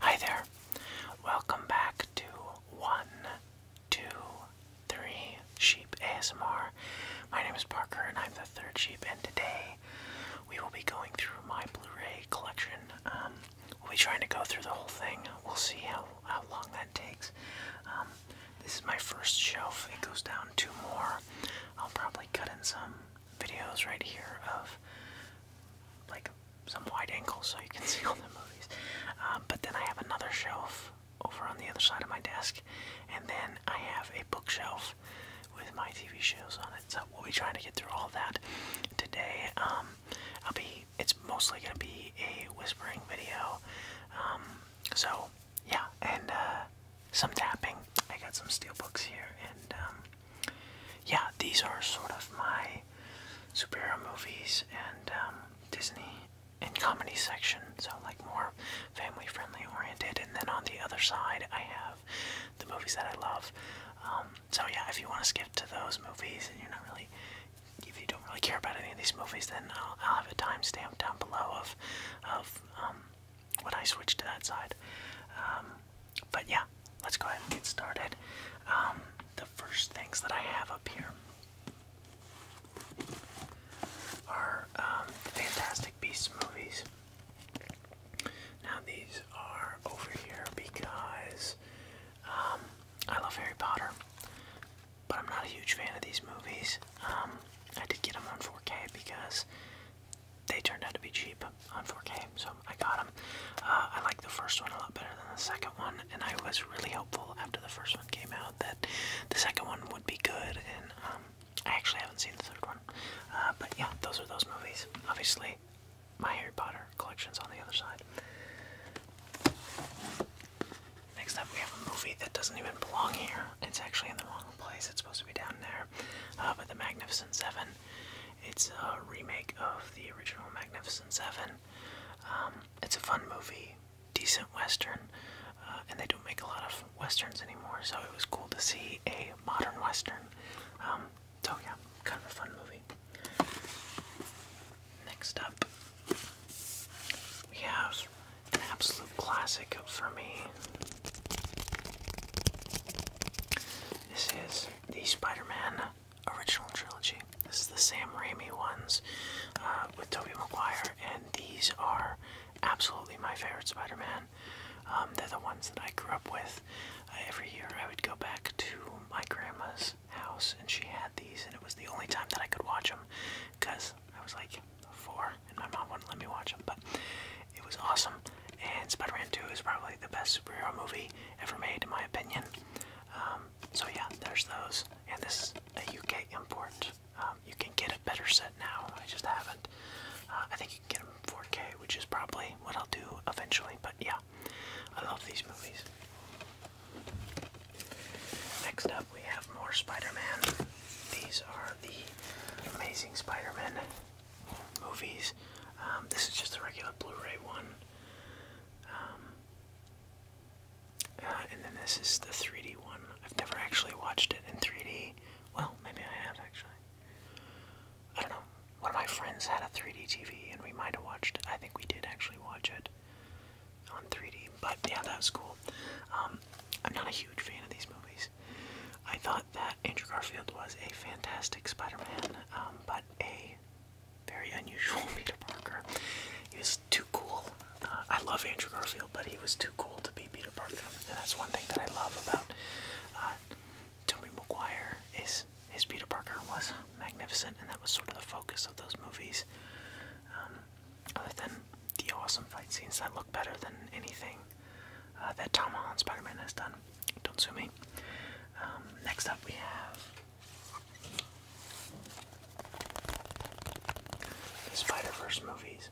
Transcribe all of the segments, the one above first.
Hi there. Welcome back to one, two, three sheep ASMR. My name is Parker and I'm the third sheep and today we will be going through my Blu-ray collection. Um, we'll be trying to go through the whole thing. We'll see how, how long that takes. Um, this is my first shelf. It goes down two more. I'll probably cut in some videos right here of like some wide angles so you can see all the movies. Um, but then I have another shelf over on the other side of my desk, and then I have a bookshelf with my TV shows on it. So we'll be trying to get through all that today. Um, I'll be. It's mostly gonna be a whispering video. Um, so yeah, and uh, some tapping. I got some steel books here, and yeah, these are sort of my superhero movies and um, Disney and comedy section, so like more family friendly oriented. And then on the other side, I have the movies that I love. Um, so yeah, if you want to skip to those movies and you're not really, if you don't really care about any of these movies, then I'll, have a timestamp down below of, of um, when I switch to that side. Um, but yeah, let's go ahead and get started. Um, the first things that I have up here are um, Fantastic Beasts movies. Now these are over here because um, I love Harry Potter, but I'm not a huge fan of these movies. I did get them on 4K because they turned out to be cheap on 4K, so I got them. Uh, I like the first one a lot better than the second one, and I was really hopeful after the first one came out that the second one would be good, and um, I actually haven't seen the third one. Uh, but yeah, those are those movies. Obviously, my Harry Potter collection's on the other side. Next up, we have a movie that doesn't even belong here. It's actually in the wrong place. It's supposed to be down there. Uh, but The Magnificent Seven it's a remake of the original Magnificent Seven. Um, it's a fun movie, decent western, uh, and they don't make a lot of westerns anymore, so it was cool to see a modern western. Um, so yeah, kind of a fun movie. Next up, we have an absolute classic for me. This is the Spider-Man original trilogy. This is the Sam Raimi ones uh, with Tobey Maguire, and these are absolutely my favorite Spider-Man. Um, they're the ones that I grew up with. Uh, every year I would go back to my grandma's house, and she had these, and it was the only time that I could watch them because I was like four, and my mom wouldn't let me watch them. But it was awesome, and Spider-Man 2 is probably the best superhero movie ever made, in my opinion. Um, so yeah, there's those, and this is a UK import. Um, you can get a better set now. I just haven't. Uh, I think you can get them 4K, which is probably what I'll do eventually. But yeah, I love these movies. Next up, we have more Spider-Man. These are the Amazing Spider-Man movies. Um, this is just a regular Blu-ray one. Um, uh, and then this is the 3D one. I've never actually watched it in 3D. Well, maybe I have actually. I don't know. One of my friends had a 3D TV, and we might have watched. it. I think we did actually watch it on 3D. But yeah, that was cool. Um, I'm not a huge fan of these movies. I thought that Andrew Garfield was a fantastic Spider-Man, um, but a very unusual Peter Parker. He was too cool. Uh, I love Andrew Garfield, but he was too cool to be Peter Parker, and that's one thing that I love about uh, Tobey Maguire. Is his Peter Parker was magnificent, and that was sort of the focus of those movies. Um, other than the awesome fight scenes that look better than anything uh, that Tom Holland Spider-Man has done. Don't sue me. Um, next up we have the Spider-Verse movies.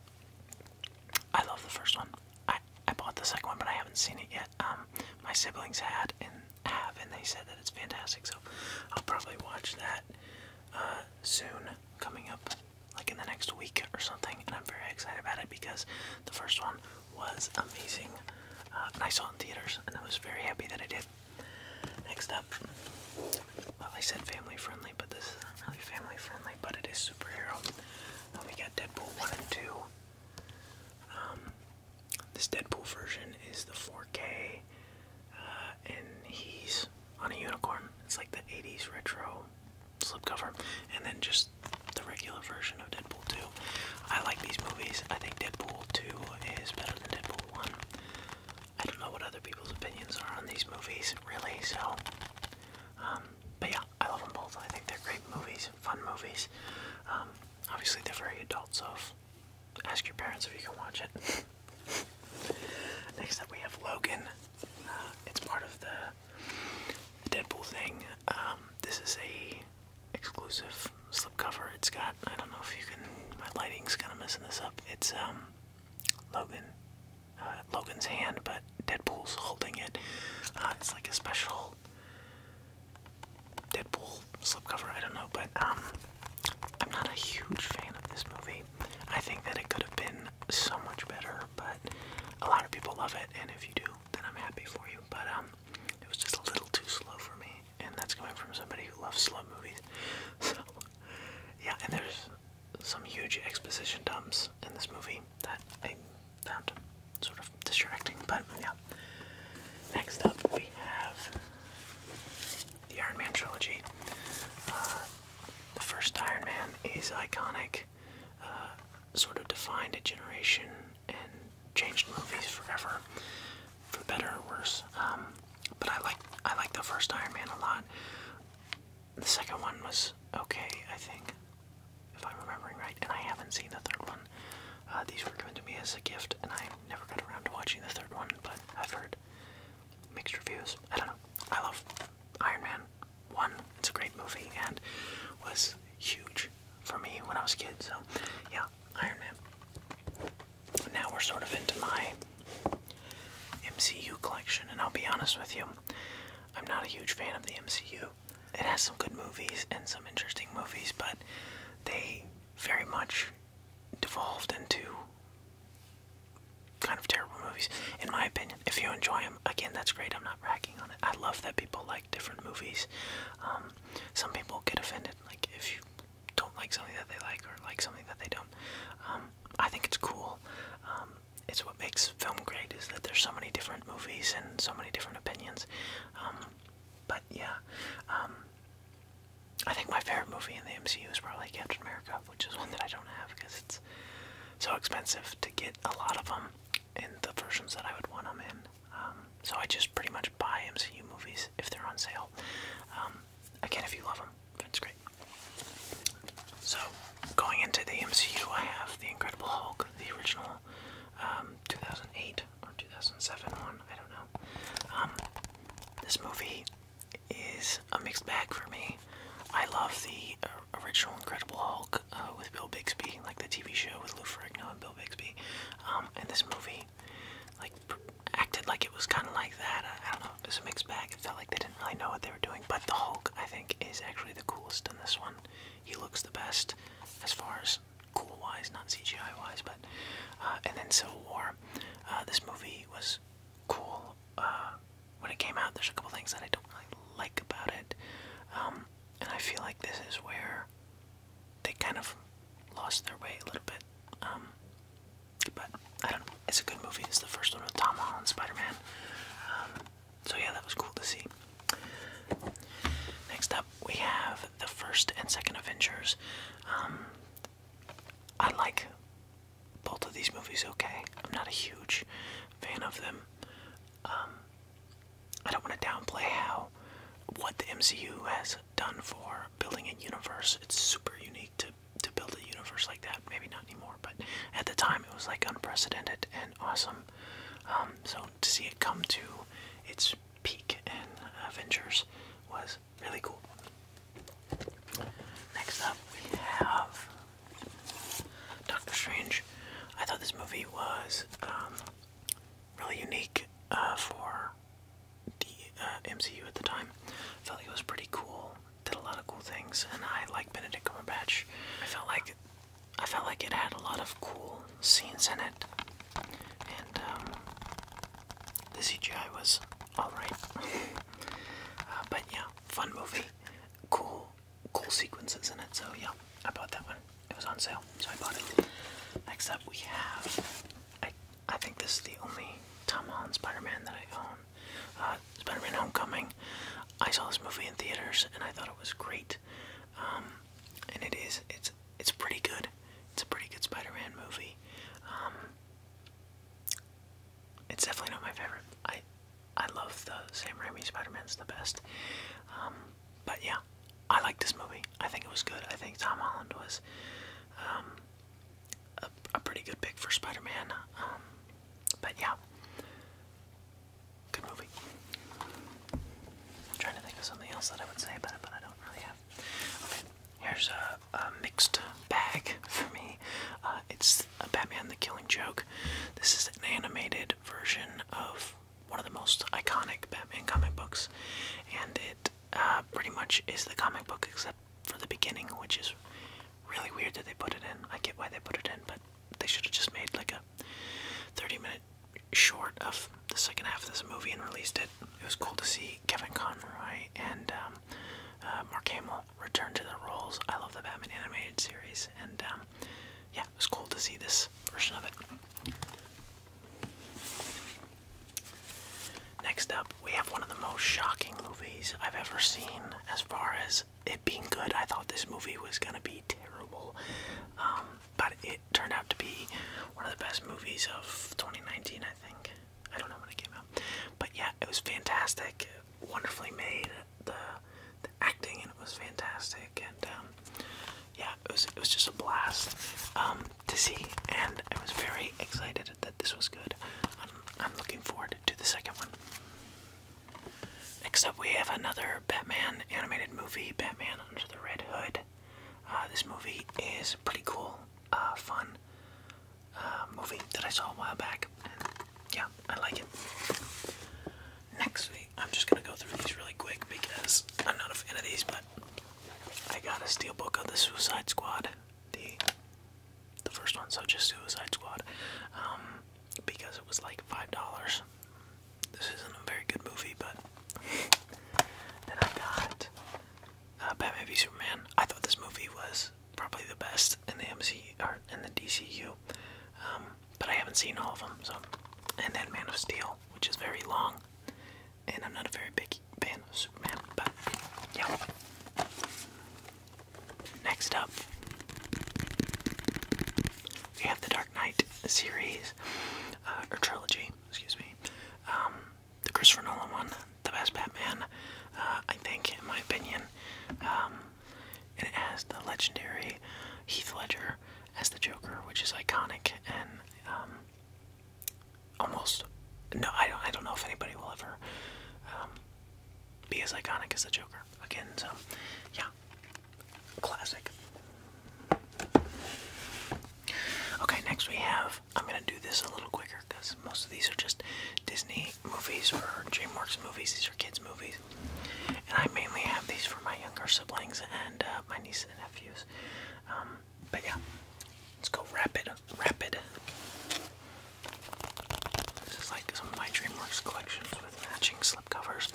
I love the first one. I, I bought the second one, but I haven't seen it yet. Um, my siblings had and have, and they said that it's fantastic, so I'll probably watch that uh, soon, coming up like in the next week or something. And I'm very excited about it because the first one was amazing. Uh, I saw it in theaters, and I was very happy that I did. Next up, well, I said family friendly, but this isn't really family friendly, but it is superhero. Uh, we got Deadpool 1 and 2. Um, this Deadpool version is the 4K, uh, and he's on a unicorn. It's like the 80s retro slipcover. And then just the regular version of Deadpool 2. I like these movies. I think Deadpool 2 is better than Deadpool 1. I don't know what other people's opinions are on these movies, really, so. Um, but yeah, I love them both. I think they're great movies, fun movies. Um, obviously, they're very adult, so ask your parents if you can watch it. Next up, we have Logan. Uh, it's part of the Deadpool thing. Um, this is a exclusive slipcover. It's got I don't know if you can. My lighting's kind of messing this up. It's um, Logan, uh, Logan's hand, but Deadpool's holding it. Uh, it's like a special Deadpool slipcover. I don't know, but um, I'm not a huge fan of this movie. I think that it could have been so much better, but a lot of people love it, and if you do, then I'm happy for you. But um, it was just a little too slow for me, and that's coming from somebody who loves slow movies. So, yeah, and there's some huge exposition dumps in this movie that I found sort of distracting, but yeah. Next up, we have the Iron Man trilogy. Uh, the first Iron Man is iconic, uh, sort of defined a generation and changed movies forever, for better or worse. Um, but I like I like the first Iron Man a lot. The second one was okay, I think, if I'm remembering right. And I haven't seen the third one. Uh, these were given to me as a gift, and I never got around to watching the third one. But I've heard mixed reviews. I don't know. I love Iron Man one. It's a great movie and was huge for me when I was a kid. So, yeah, Iron Man. Now we're sort of into my MCU collection, and I'll be honest with you, I'm not a huge fan of the MCU. It has some good movies and some interesting movies, but they very much devolved into kind of terrible movies, in my opinion. If you enjoy them, again, that's great. I'm not ragging on it. I love that people like different movies. Um, some people get offended, like if you don't like something that they like or like something that they don't. Um, I think it's cool. Um, it's what makes film great is that there's so many different movies and so many different opinions. Um, but yeah, I think my favorite movie in the MCU is probably Captain America, which is one that I don't have because it's so expensive to get a lot of them in the versions that I would want them in. Um, so I just pretty much buy MCU movies if they're on sale. Um, again, if you love them, that's great. So going into the MCU, I have the Incredible Hulk, the original um, 2008 or 2007 one. I don't know. this movie is a mixed bag for me. I love the uh, original Incredible Hulk uh, with Bill Bixby, like the TV show with Lou Ferrigno and Bill Bixby. Um, and this movie, like, acted like it was kind of like that. I, I don't know. It was a mixed bag. It felt like they didn't really know what they were doing. But the Hulk, I think, is actually the coolest in this one. He looks the best as far as cool wise, not CGI wise. But uh, and then Civil War. Uh, this movie was cool uh, when it came out. There's a couple things that I don't really like about it. Um, and I feel like this is where they kind of lost their way a little bit. Um, but I don't know. It's a good movie. It's the first one with Tom Holland, Spider-Man. Um, so yeah, that was cool to see. Next up, we have the first and second Avengers. Um, I like both of these movies. Okay, I'm not a huge fan of them. Um, I don't want to downplay how what the MCU has done for building a universe. It's super unique to to build a universe like that. Maybe not anymore, but at the time it was like unprecedented and awesome. Um, so to see it come to its peak in Avengers was really cool. Next up, we have Doctor Strange. I thought this movie was um, really unique uh, for the uh, MCU at the time. I felt like it was pretty cool. Did a lot of cool things, and I like Benedict Cumberbatch. I felt like I felt like it had a lot of cool scenes in it, and um, the CGI was all right. Uh, but yeah, fun movie, cool, cool sequences in it. So yeah, I bought that one it was on sale, so I bought it. Next up, we have I I think this is the only Tom Holland Spider-Man that I own. Uh, Spider-Man: Homecoming. I saw this movie in theaters and I thought it was great. Um, and it is it's it's pretty good. It's a pretty good Spider-Man movie. Um, it's definitely not my favorite. I I love the Sam Raimi Spider-Man's the best. Um, but yeah, I like this movie. I think it was good. I think Tom Holland was um, a, pretty good pick for Spider-Man. Um, but yeah, good movie. I'm trying to think of something else that I would say about it, but I don't really have. Okay, here's a, mixed bag for me. Uh, it's Batman: The Killing Joke. This is an animated version of one of the most iconic Batman comic books, and it uh, pretty much is the comic book except for the beginning, which is really weird that they put it in. I get why they put it in, but they should have just made like a 30 minute short of the second half of this movie and released it. It was cool to see Kevin Conroy and um, uh, Mark Hamill return to their roles. I love the Batman animated series, and um, yeah, it was cool to see this version of it. Next up, we have one of the most shocking movies I've ever seen as far as it being good. I thought this movie was going to be terrible, um, but it turned out to be one of the best movies of 2019, I think. I don't know when it came out. But yeah, it was fantastic, wonderfully made, the, acting, and it was fantastic, and um, yeah, it was it was just a blast um, to see, and I was very excited that this was good. I'm, looking forward to the second one. Next up, we have another Batman animated movie, Batman Under the Red Hood. Uh, this movie is pretty cool, uh, fun uh, movie that I saw a while back, and yeah, I like it. Next week, I'm just gonna go through these really quick because I'm not a fan of these, but I got a steel book of the Suicide Squad, the the first one, so just Suicide Squad, um, because it was like five dollars. This isn't a very good movie, but then I got uh, Batman v Superman. I thought this movie was probably the best in the MCU or in the DCU, um, but I haven't seen all of them. So, and then Man of Steel, which is very long, and I'm not a very big fan of Superman, but yeah. Next up, we have the Dark Knight series, uh, or trilogy, excuse me. Um, the Christopher Nolan one, the best Batman, uh, I think, in my opinion. Um, and it has the legendary Heath Ledger as the Joker, which is iconic and um, almost no I don't I don't know if anybody will ever um, be as iconic as the Joker again so yeah classic okay next we have I'm gonna do this a little quicker because most of these are just Disney movies for DreamWorks movies these are kids movies and I mainly have these for my younger siblings and uh, my nieces and nephews um, but yeah, let's go rapid, rapid. This is like some of my DreamWorks collections with matching slipcovers.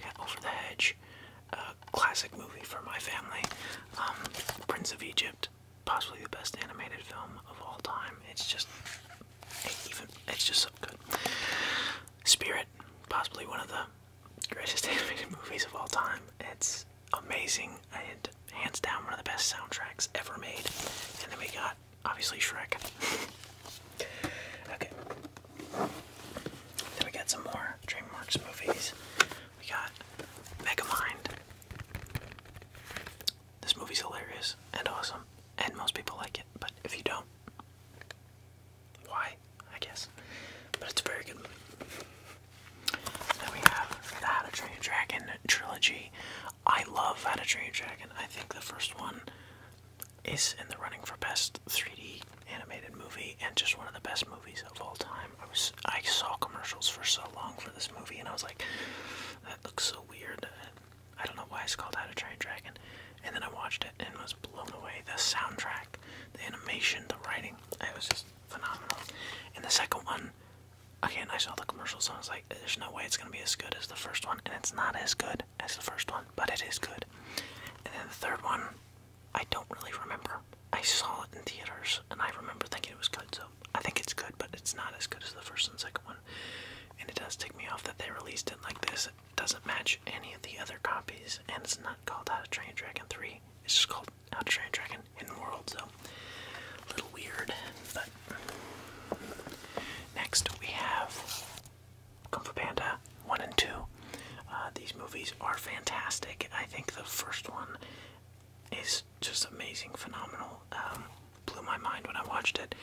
Yeah, Over the Hedge, classic movie for my family. Um, Prince of Egypt, possibly the best animated film of all time. It's just, even, it's just so good. Spirit, possibly one of the greatest animated movies of all time. It's amazing and hands down one of the best soundtracks ever made. And then we got obviously Shrek. okay. Then we got some more DreamWorks movies. We got Megamind. This movie's hilarious and awesome, and most people like it, but if you don't, why, I guess. But it's very good. Then we have the How to Train Your Dragon trilogy. I love How to Train Your Dragon. I think the first one is in the running for best 3D animated movie and just one of the best movies of all time. I was I saw commercials for so long for this movie and I was like, that looks so weird. I don't know why it's called How to Train Your Dragon. And then I watched it and was blown away. The soundtrack, the animation, the writing. It was just phenomenal. And the second one, again, I saw the commercial, so I was like, there's no way it's going to be as good as the first one. And it's not as good as the first one, but it is good. And then the third one, I don't really remember. I saw it in theaters and I remember thinking it was good, so I think it's good, but it's not as good as the first and second one. And it does tick me off that they released it like this. It doesn't match any of the other copies, and it's not called How to Train Dragon 3. It's just called out Train Dragon in the world, so little weird, but next we have Kung Fu Panda 1 and 2. Uh, these movies are fantastic. I think the first one is just amazing, phenomenal. Um, blew my mind when I watched it.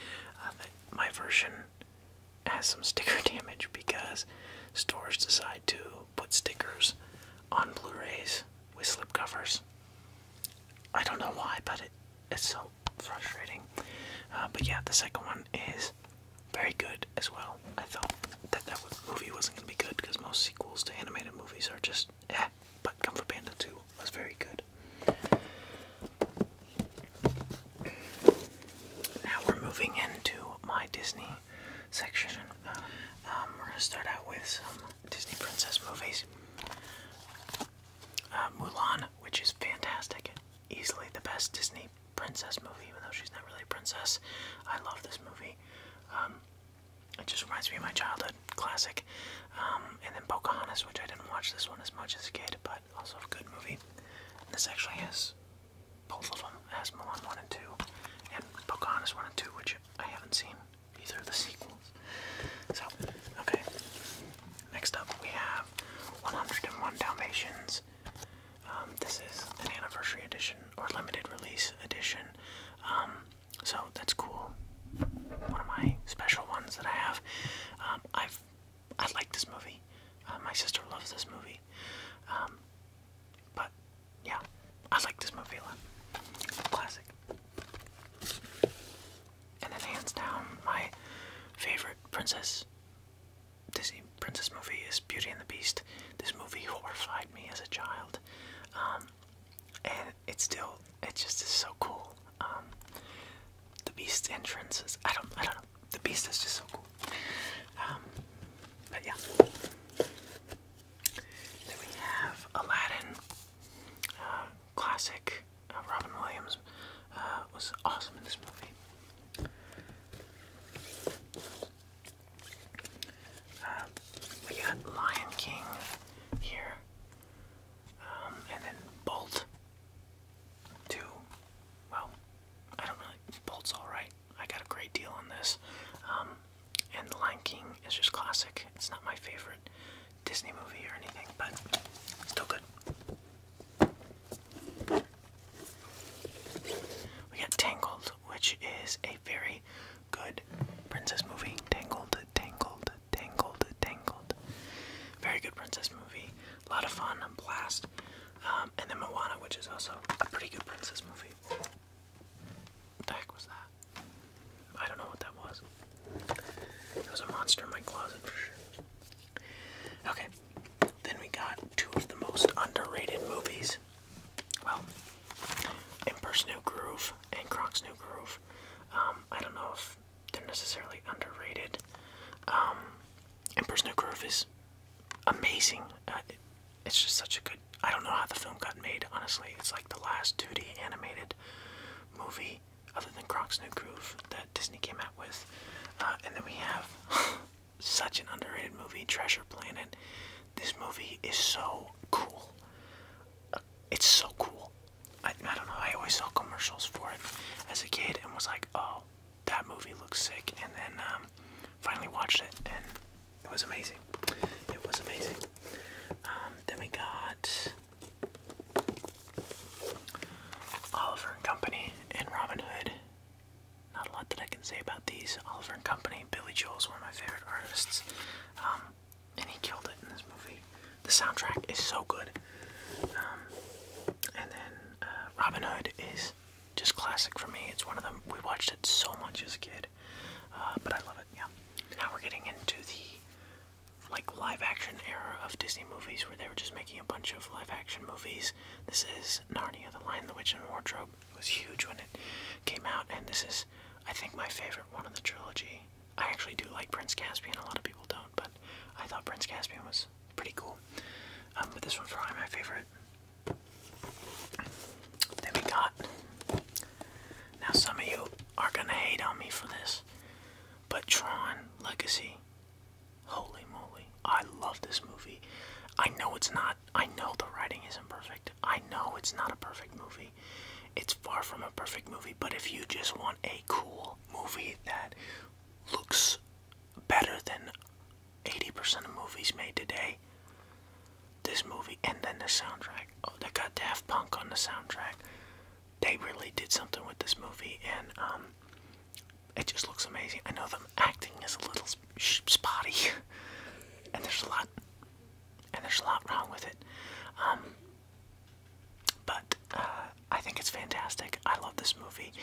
Uh, my version has some sticker damage because stores decide to put stickers on Blu-rays with slipcovers. I don't know why, but it, it's so frustrating. Uh, but yeah, the second one is very good as well. I thought that that movie wasn't going to be good because most sequels to animated movies are just eh. But Kung Fu Panda 2 was very good. Now we're moving into my Disney section. Um, we're gonna start out with some Disney princess movies. Uh, Mulan, which is fantastic, easily the best Disney princess movie, even though she's not really a princess. I love this movie. Um, it just reminds me of my childhood classic. Um, and then Pocahontas, which I didn't watch this one as much as a kid, but also a good movie. this actually is both of them, Asmolon 1 and 2, and Pocahontas 1 and 2, which I haven't seen either of the sequels. So, okay. Next up, we have 101 Dalmatians. Um, this is an anniversary edition or limited release edition. Um, so that's cool. One of my special ones that I have. Um, I've I like this movie. Uh, my sister loves this movie. but yeah, I like this movie Classic. And then hands down, my favorite princess Disney princess movie is Beauty and the Beast. This movie horrified me as a child, um, and it's still it just is so cool. Um, the Beast's entrance is I don't I don't know. The Beast is just so cool. Um, but yeah. Then we have Aladdin, uh, classic. Uh, Robin Williams uh, was awesome in this movie. we got Lion King here, um, and then Bolt. Two. Well, I don't really. Bolt's all right. I got a great deal on this. Um, and The Lion King is just classic. It's not my favorite Disney movie or anything, but still good. We got Tangled, which is a very good princess movie. Tangled, Tangled, Tangled, Tangled. Very good princess movie. A lot of fun, a blast. Um, and then Moana, which is also a pretty good princess movie. What the heck was that? I don't know what that was. It was a monster in my closet for sure. Okay, then we got two of the most underrated movies. Well, Emperor's New Groove and Croc's New Groove. Um, I don't know if they're necessarily underrated. Um, Emperor's New Groove is amazing. Uh, it's just such a good. I don't know how the film got made. Honestly, it's like the last duty animated movie other than Croc's New Groove that Disney came out with, uh, and then we have such an underrated movie, Treasure Planet. This movie is so cool. Uh, it's so cool. I, don't know. I always saw commercials for it as a kid and was like, oh, that movie looks sick. And then um, finally watched it and it was amazing. It was amazing. Um, then we got Oliver and Company and Robin Hood. Not a lot that I can say about these. Oliver and Company, Billy Joel's one of my favorite artists. Um, and he killed it in this movie. The soundtrack is so good. Um, and then uh, Robin Hood is just classic for me. It's one of them, we watched it so much as a kid. Uh, but I love it, yeah. Now we're getting into the like live action era of Disney movies where they were just making a bunch of live action movies. This is Narnia, The Lion, the Witch, and Wardrobe. It was huge when it came out, and this is, I think, my favorite one of the trilogy. I actually do like Prince Caspian, a lot of people don't, but I thought Prince Caspian was pretty cool. Um, but this one's probably my favorite. Then we got. Now, some of you are gonna hate on me for this, but Tron Legacy. Holy moly. I love this movie. I know it's not. I know the writing isn't perfect. I know it's not a perfect movie. It's far from a perfect movie, but if you just want a cool movie that looks better than 80% of movies made today, this movie and then the soundtrack. Oh, they got Daft Punk on the soundtrack. They really did something with this movie, and um, it just looks amazing. I know them acting is a little spotty, and there's a lot, and there's a lot wrong with it. Um, but uh, I think it's fantastic. I love this movie,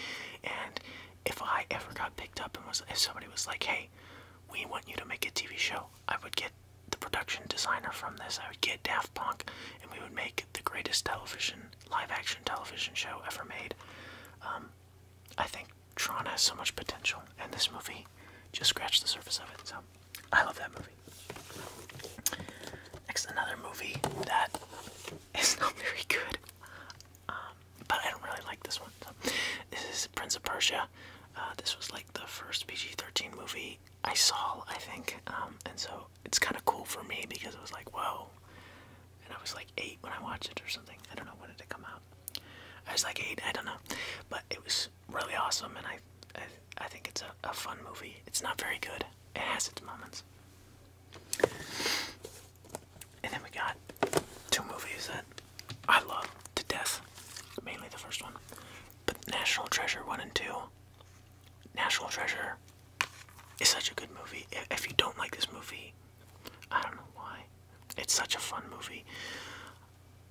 and if I ever got picked up and was, if somebody was like, "Hey, we want you to make a TV show," I would get the production designer from this. I would get Daft Punk, and we would make the greatest television, live-action television show ever made. Um, I think Tron has so much potential, and this movie just scratched the surface of it. So, I love that movie. Next, another movie that is not very good, um, but I don't really like this one this is Prince of Persia. Uh, this was like the first PG-13 movie I saw, I think, um, and so it's kind of cool for me because it was like, whoa, and I was like eight when I watched it or something. I don't know when did it come out. I was like eight, I don't know, but it was really awesome, and I, I, think it's a fun movie. It's not very good. It has its moments. And then we got two movies that I love to death, mainly the first one. But National Treasure 1 and 2, National Treasure is such a good movie. If you don't like this movie, I don't know why. It's such a fun movie.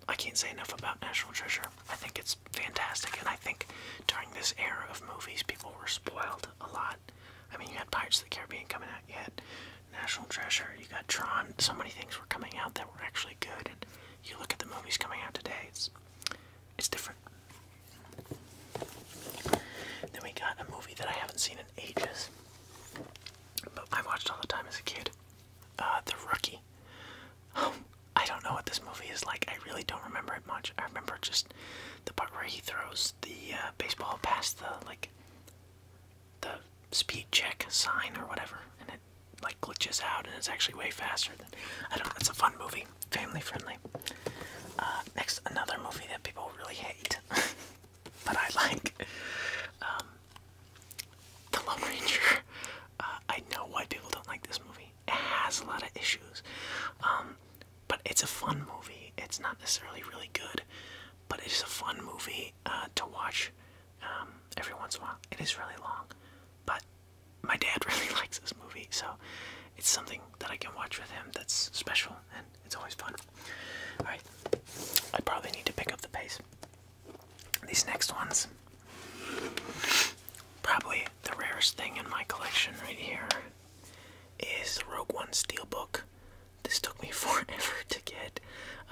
I can't say enough about National Treasure. I think it's fantastic, and I think during this era of movies, people were spoiled a lot. I mean, you had Pirates of the Caribbean coming out, you National Treasure. You got Tron. So many things were coming out that were actually good, and you look at the movies coming out today. It's it's different. Then we got a movie that I haven't seen in ages, but I watched all the time as a kid. Uh, the Rookie. Um, I don't know what this movie is like. I really don't remember it much. I remember just the part where he throws the uh, baseball past the like the speed check sign or whatever, and it like glitches out and it's actually way faster than I don't know, it's a fun movie. Family friendly. Uh, next another movie that people really hate but I like. Um, the Lone Ranger. Uh, I know why people don't like this movie. It has a lot of issues. Um, but it's a fun movie. It's not necessarily really good, but it's a fun movie uh, to watch. Um, every once in a while. It is really long, but my dad really likes this movie, so it's something that I can watch with him that's special and it's always fun. Alright, I probably need to pick up the pace. These next ones, probably the rarest thing in my collection right here is Rogue One Steelbook. This took me forever to get.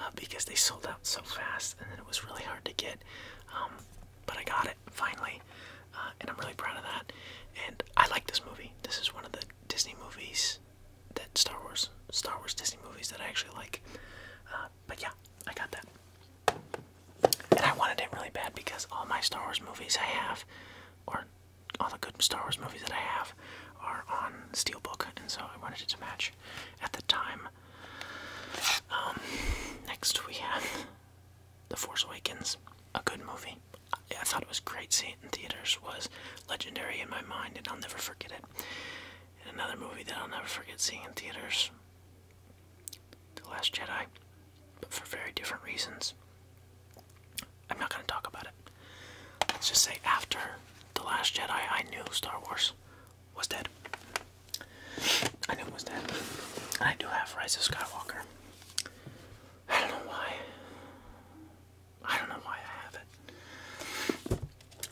Uh, because they sold out so fast and it was really hard to get. Um, but I got it finally, uh, and I'm really proud of that. And I like this movie. This is one of the Disney movies that Star Wars, Star Wars Disney movies that I actually like. Uh, but yeah, I got that. And I wanted it really bad because all my Star Wars movies I have, or all the good Star Wars movies that I have, are on Steelbook, and so I wanted it to match. At the time, um, next we have The Force Awakens, a good movie. I thought it was great. Seeing in theaters was legendary in my mind, and I'll never forget it. And another movie that I'll never forget seeing in theaters, The Last Jedi, but for very different reasons. I'm not going to talk about it. Let's just say after The Last Jedi, I knew Star Wars was dead. I knew it was dead. I do have Rise of Skywalker. I don't know why. I don't know why I have it.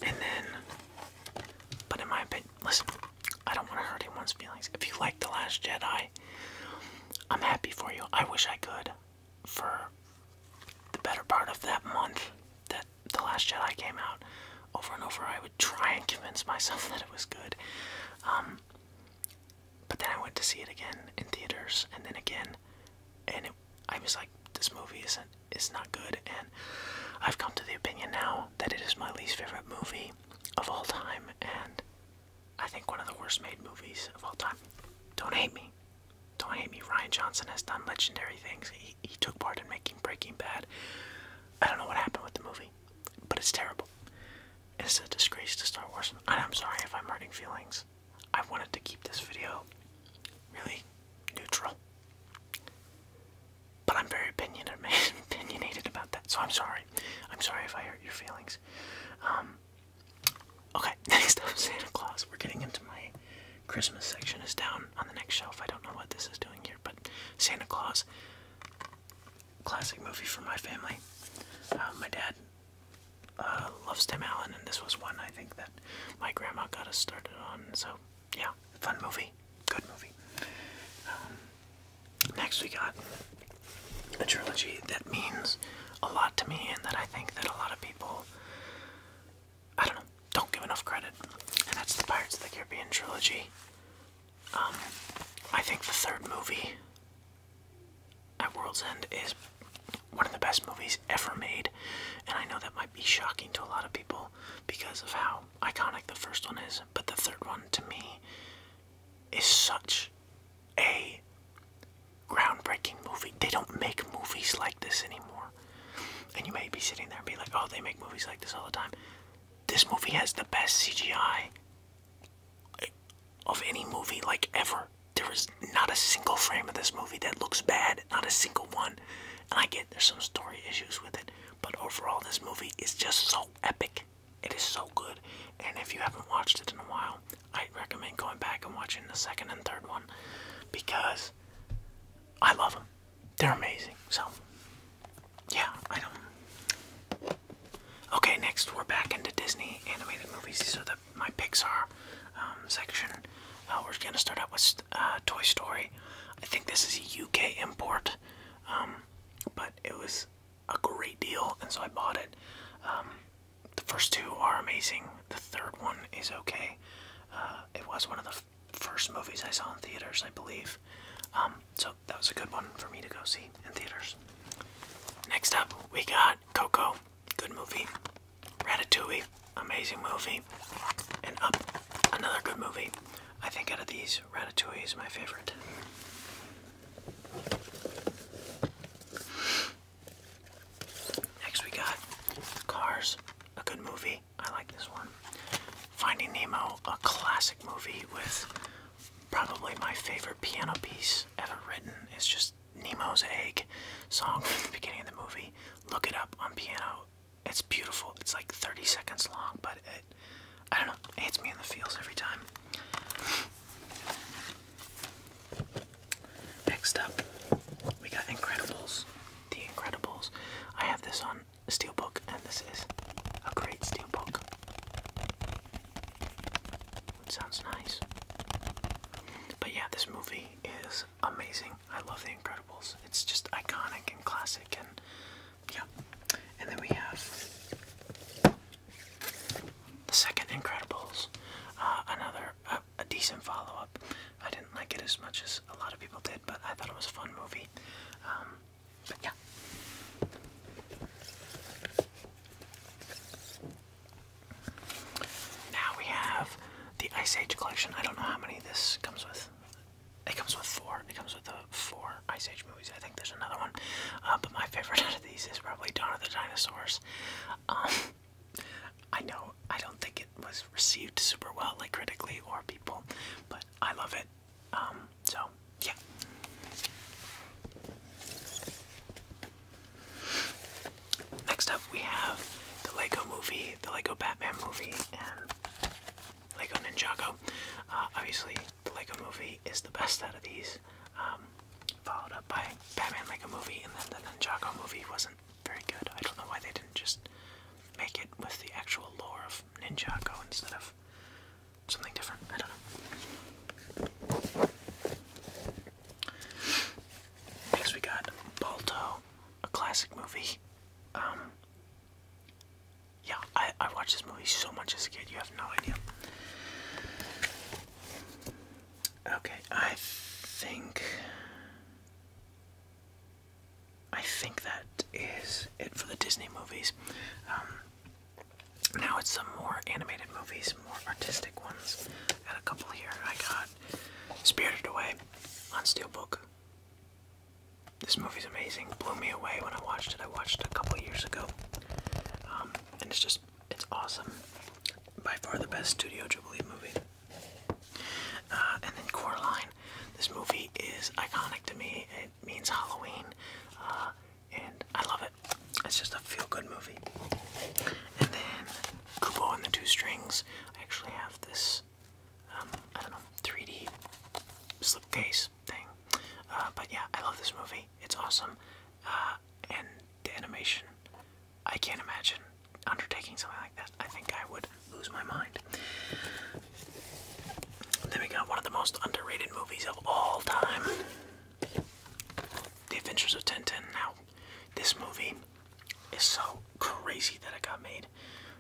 And then, but in my opinion, listen, I don't want to hurt anyone's feelings. If you like The Last Jedi, I'm happy for you. I wish I could for the better part of that month that the Last Jedi came out, over and over I would try and convince myself that it was good. Um, but then I went to see it again in theaters, and then again, and I was like, this movie isn't It's not good. And I've come to the opinion now that it is my least favorite movie of all time, and I think one of the worst made movies of all time. Don't hate me. Don't hate me. Ryan Johnson has done legendary things he, took part in making Breaking Bad. I don't know what happened with the movie, but it's terrible. It's a disgrace to Star Wars, I'm sorry if I'm hurting feelings. I wanted to keep this video really neutral, but I'm very opinionated about that, so I'm sorry. I'm sorry if I hurt your feelings. Um, okay, next up, Santa Claus. We're getting into my Christmas section is down on the next shelf. I don't know what this is doing here, but Santa Claus, classic movie for my family. Uh, my dad uh, loves Tim Allen, and this was one I think that my grandma got us started on. So yeah, fun movie, good movie. Um, next we got a trilogy that means a lot to me, and that I think that a lot of people I don't know, don't give enough credit. And that's the Pirates of the Caribbean trilogy. Um, I think the third movie at World's End is one of the best movies ever made. And I know that might be shocking to a lot of people because of how iconic the first one is, but the third one to me is such a groundbreaking movie. They don't make movies like this anymore. And you may be sitting there and be like, oh, they make movies like this all the time. This movie has the best CGI of any movie, like ever. There is not a single frame of this movie that looks bad, not a single one. And I get there's some story issues with it, but overall, this movie is just so epic. It is so good. And if you haven't watched it in a while, I'd recommend going back and watching the second and third one because I love them they're amazing. So, yeah, I don't. Okay, next we're back into Disney animated movies. These are the my Pixar um, section. Uh, we're gonna start out with uh, Toy Story. I think this is a UK import, um, but it was a great deal, and so I bought it. Um, the first two are amazing. The third one is okay. Uh, it was one of the first movies I saw in theaters, I believe. Um, so that was a good one for me to go see in theaters. Next up, we got Coco. Good movie. Ratatouille. Amazing movie. And Up. Another good movie. I think out of these, Ratatouille is my favorite. Next, we got Cars. A good movie. I like this one. Finding Nemo, a classic movie with probably my favorite piano piece ever written. It's just Nemo's Egg song from the beginning of the movie. Look it up on piano. It's beautiful. It's like 30 seconds long, but it, I don't know, it hits me in the feels every time. Next up, we got Incredibles. The Incredibles. I have this on steelbook, and this is a great steelbook. It sounds nice. But yeah, this movie is amazing. I love The Incredibles. It's just iconic and classic, and yeah. And then we have the second Incredibles, uh, another uh, a decent follow-up. I didn't like it as much as a lot of people did, but I thought it was a fun movie. Um, yeah. Now we have the Ice Age collection. I don't know how many this comes with. It comes with four. It comes with the four Ice Age movies. I think there's another one. Uh, but my favorite out of these is probably Dawn of the Dinosaurs. Um, I know I don't think it was received super well, like critically or people, but I love it. Um, so, yeah. Next up, we have the Lego movie, the Lego Batman movie, and Lego Ninjago. Uh, obviously, the Lego movie is the best out of these, um, followed up by Batman Lego movie, and then the Ninjago movie wasn't very good. I don't know why they didn't just make it with the actual lore of Ninjago instead of something different. I don't know. Next we got Balto, a classic movie. Um, yeah, I, I watched this movie so much as a kid, you have no idea. Okay, I think I think that is it for the Disney movies. Um, now it's some more animated movies, more artistic ones. Got a couple here. I got Spirited Away on Steelbook. This movie's amazing. Blew me away when I watched it. I watched it a couple years ago. Um, and it's just, it's awesome. By far the best Studio Jubilee movie. Uh, and then Coraline. This movie is iconic to me. It means Halloween, uh, and I love it. It's just a feel-good movie. And then Kubo and the Two Strings. I actually have this, um, I don't know, 3D slipcase thing. Uh, but yeah, I love this movie. It's awesome, and the animation. I can't imagine undertaking something like that. I think I would lose my mind. then we got one of the most underrated movies of all time. The Adventures of Tintin. Now, this movie is so crazy that it got made.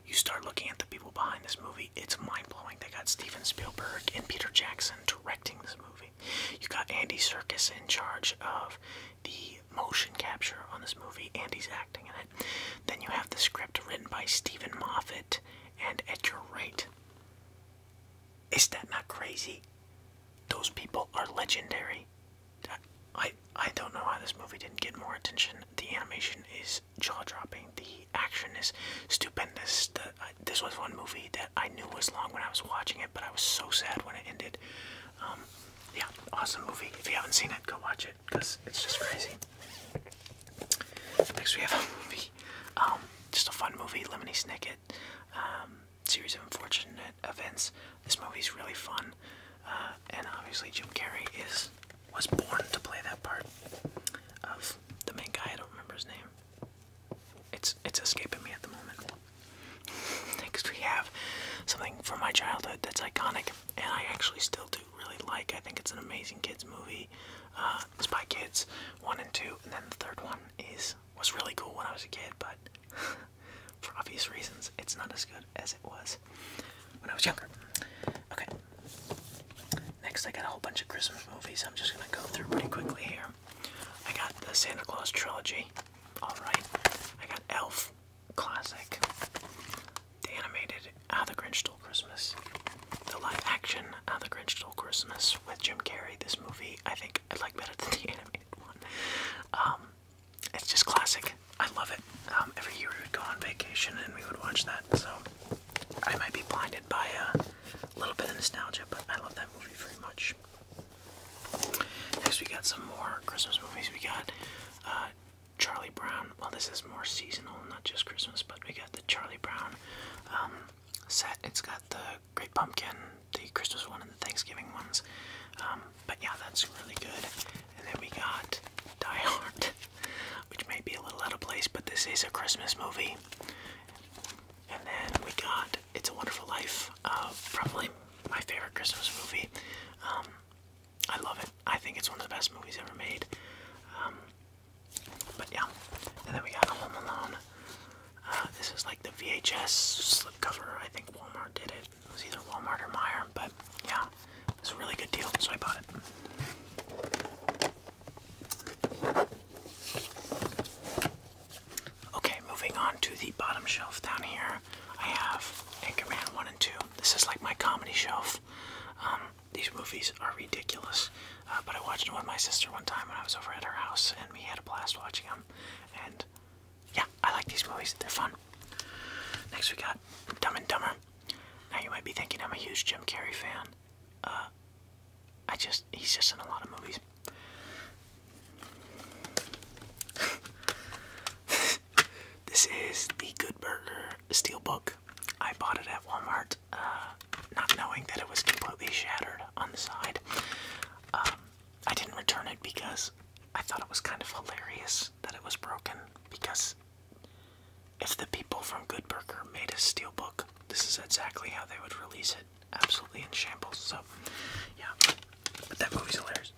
You start looking at the people behind this movie, it's mind blowing. They got Steven Spielberg and Peter Jackson directing this movie. You got Andy Serkis in charge of the motion capture on this movie, and he's acting in it. Then you have the script written by Stephen Moffat and at your right. Is that not crazy? Those people are legendary. I I don't know how this movie didn't get more attention. The animation is jaw-dropping. The action is stupendous. this was one movie that I knew was long when I was watching it, but I was so sad when it ended. Um, yeah, awesome movie. If you haven't seen it, go watch it because it's just crazy. Next we have a movie, um, just a fun movie, Lemony Snicket, um, series of unfortunate events. This movie's really fun, uh, and obviously Jim Carrey is was born to play that part of the main guy. I don't remember his name. It's it's escaping me at the moment. Next we have something from my childhood that's iconic, and I actually still do really like. I think it's an amazing kids movie. Uh, by Kids one and two, and then the third one is was really cool when I was a kid, but for obvious reasons, it's not as good as it was when I was younger. Okay. Next, I got a whole bunch of Christmas movies. I'm just gonna go through pretty quickly here. I got the Santa Claus trilogy. All right. I got Elf, classic the animated How the Grinch Stole Christmas, the live action How the Grinch Stole Christmas with Jim Carrey. This movie I think I like better than the animated one. Um, it's just classic. I love it. Um, every year we would go on vacation and we would watch that. So I might be blinded by a little bit of nostalgia, but I love that movie very much. Next, we got some more Christmas movies. We got uh, Charlie Brown. Well, this is more seasonal, not just Christmas, but we got the Charlie Brown um, set. It's got the Great Pumpkin, the Christmas one, and the Thanksgiving ones. Um, but yeah, that's really good. And then we got Die Hard, which may be a little out of place, but this is a Christmas movie. And then we got It's a Wonderful Life, uh, probably my favorite Christmas movie. Um, I love it. I think it's one of the best movies ever made. Um, but yeah, and then we got Home Alone. Uh, this is like the VHS slipcover. I think Walmart did it. It was either Walmart or Meyer, but yeah, it a really good deal, so I bought it. Okay, moving on to the bottom shelf down here. I have Anchorman 1 and 2. This is like my comedy shelf. Um, these movies are ridiculous. Uh, but I watched them with my sister one time when I was over at her house, and we had a blast watching them. And yeah, I like these movies, they're fun. Next, we got Dumb and Dumber. Now, you might be thinking I'm a huge Jim Carrey fan. Uh, I just, he's just in a lot of movies. this is The Good Burger steelbook. I bought it at Walmart, uh, not knowing that it was completely shattered on the side. Um, I didn't return it because I thought it was kind of hilarious that it was broken. Because if the people from Good Burger made a steelbook, this is exactly how they would release it. Absolutely in shambles. So, yeah. But that movie's hilarious.